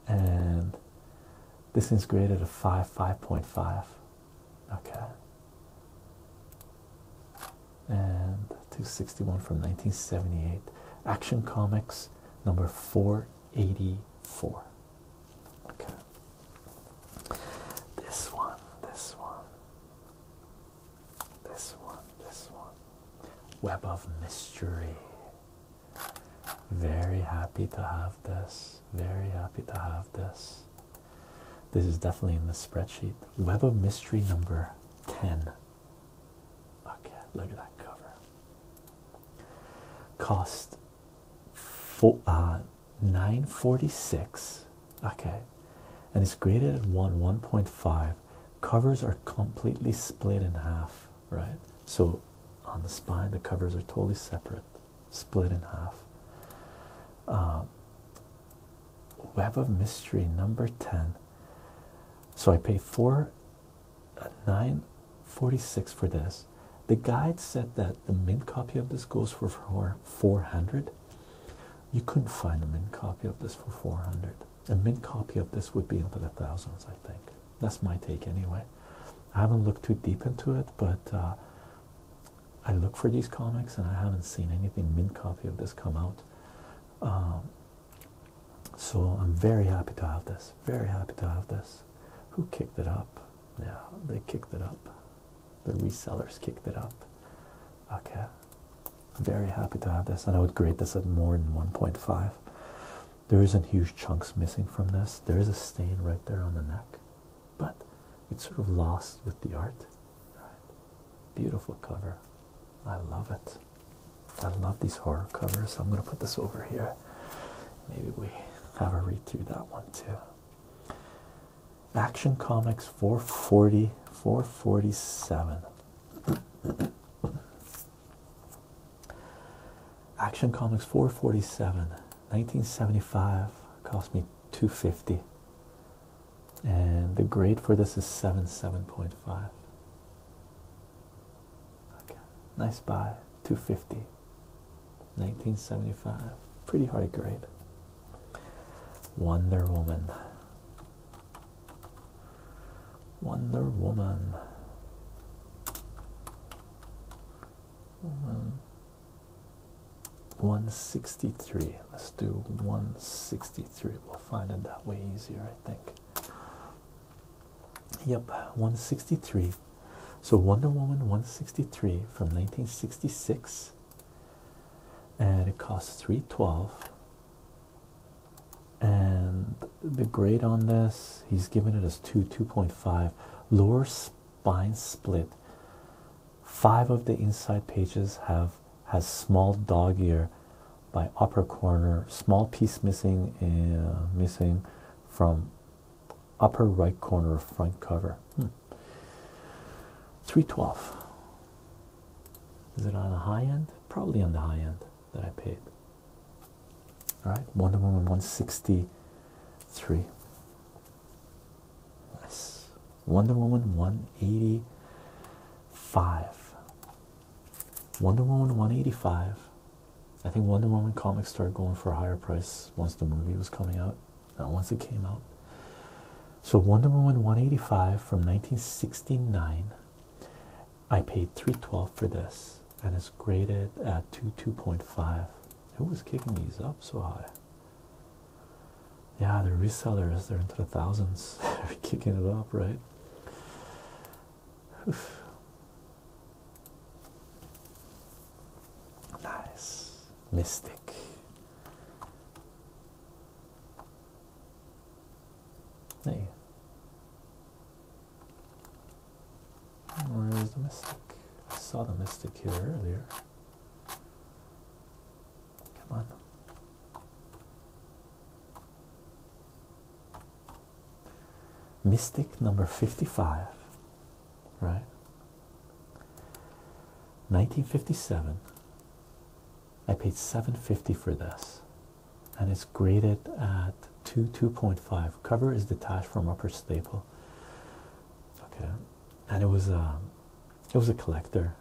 and this is graded a 5 5.5. Okay. And 261 from 1978. Action Comics number 484. Okay. This one, this one, this one, this one. Web of Mystery. Very happy to have this. Very happy to have this. This is definitely in the spreadsheet. Web of Mystery number 10. Okay, look at that cover. Cost uh, 946 okay and it's graded at 1 1.5 covers are completely split in half right so on the spine the covers are totally separate split in half um, web of mystery number 10 so i pay 4 uh, 946 for this the guide said that the mint copy of this goes for 400 you couldn't find a mint copy of this for 400 a mint copy of this would be into the thousands i think that's my take anyway i haven't looked too deep into it but uh, i look for these comics and i haven't seen anything mint copy of this come out um, so i'm very happy to have this very happy to have this who kicked it up yeah, they kicked it up. The resellers kicked it up. Okay, very happy to have this, and I would grade this at more than 1.5. There isn't huge chunks missing from this. There is a stain right there on the neck, but it's sort of lost with the art. Beautiful cover. I love it. I love these horror covers. I'm gonna put this over here. Maybe we have a read through that one too. Action Comics 440, 447. Action Comics 447, 1975, cost me 250. And the grade for this is 77.5. Okay, nice buy, 250. 1975. Pretty high grade. Wonder Woman. Wonder Woman. Woman. 163. Let's do 163. We'll find it that way easier, I think. Yep, 163. So Wonder Woman 163 from 1966 and it costs 312 and the grade on this he's given it as 2 2.5 lower spine split five of the inside pages have has small dog ear by upper corner small piece missing uh, missing from upper right corner of front cover. Hmm. 312. Is it on the high end? Probably on the high end that I paid. All right, Wonder Woman 163. Yes. Wonder Woman 185. Wonder Woman 185 I think Wonder Woman comics started going for a higher price once the movie was coming out, uh, once it came out. So Wonder Woman 185 from 1969, I paid 312 for this, and it's graded at 2 2.5. Who was kicking these up so high? Yeah, the resellers, they're into the thousands. they're kicking it up, right? Nice. Mystic. Hey. Where is the mystic? saw the mystic here earlier. Come on. Mystic number 55 right? 1957 I paid 750 for this and it's graded at 2 2.5 cover is detached from upper staple okay and it was a um, it was a collector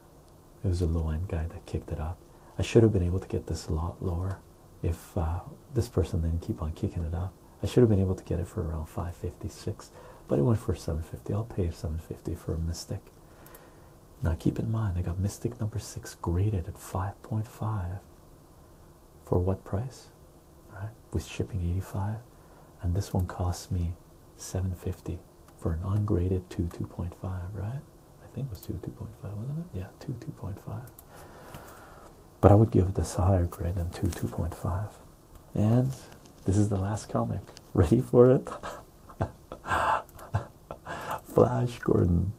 it was a low-end guy that kicked it up I should have been able to get this a lot lower if uh, this person didn't keep on kicking it up I should have been able to get it for around 556, but it went for 750. I'll pay 750 for a Mystic. Now keep in mind I got Mystic number six graded at 5.5 for what price? Right with shipping 85, and this one costs me 750 for an ungraded 2 2.5, right? I think it was 2 2.5, wasn't it? Yeah, 2 2.5. But I would give this a higher grade than 2 2.5. And this is the last comic. Ready for it? Flash Gordon.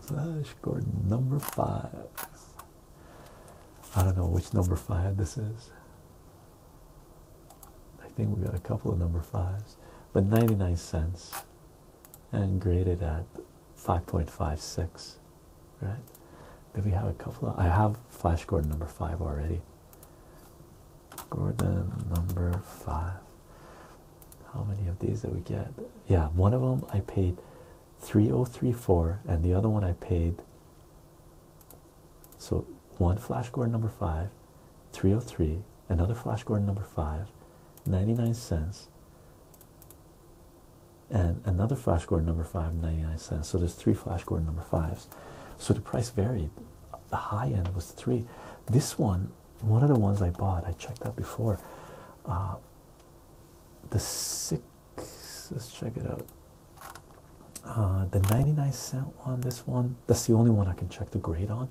Flash Gordon number five. I don't know which number five this is. I think we got a couple of number fives, but 99 cents and graded at 5.56 right did have a couple i have flash gordon number five already gordon number five how many of these did we get yeah one of them i paid 3034 and the other one i paid so one flash gordon number five 303 another flash gordon number five 99 cents and another flash gordon number five 99 cents so there's three flash gordon number fives so the price varied the high end was three this one one of the ones i bought i checked that before uh, the six let's check it out uh, the 99 cent one this one that's the only one i can check the grade on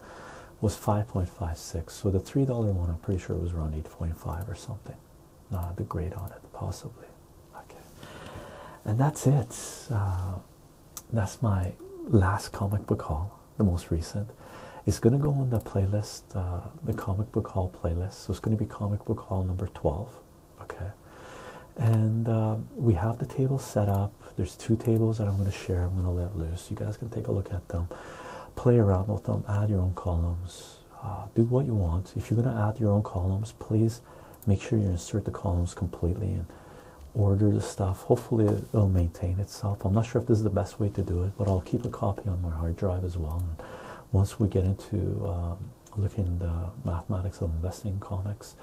was 5.56 so the three dollar one i'm pretty sure it was around 8.5 or something not ah, the grade on it possibly okay and that's it uh, that's my last comic book hall. the most recent it's going to go on the playlist uh, the comic book hall playlist so it's going to be comic book hall number 12 okay and uh, we have the table set up there's two tables that i'm going to share i'm going to let loose you guys can take a look at them play around with them add your own columns uh, do what you want if you're going to add your own columns please make sure you insert the columns completely and order the stuff hopefully it'll maintain itself i'm not sure if this is the best way to do it but i'll keep a copy on my hard drive as well and once we get into um, looking the mathematics of investing in comics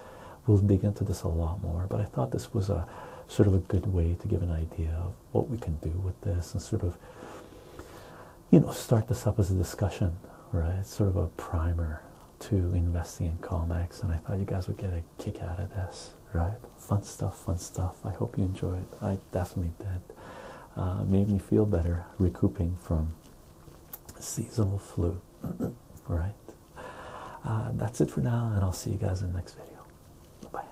we'll dig into this a lot more but i thought this was a sort of a good way to give an idea of what we can do with this and sort of you know start this up as a discussion right sort of a primer to investing in comics and i thought you guys would get a kick out of this right fun stuff fun stuff i hope you enjoyed i definitely did uh, made me feel better recouping from seasonal flu right uh, that's it for now and i'll see you guys in the next video bye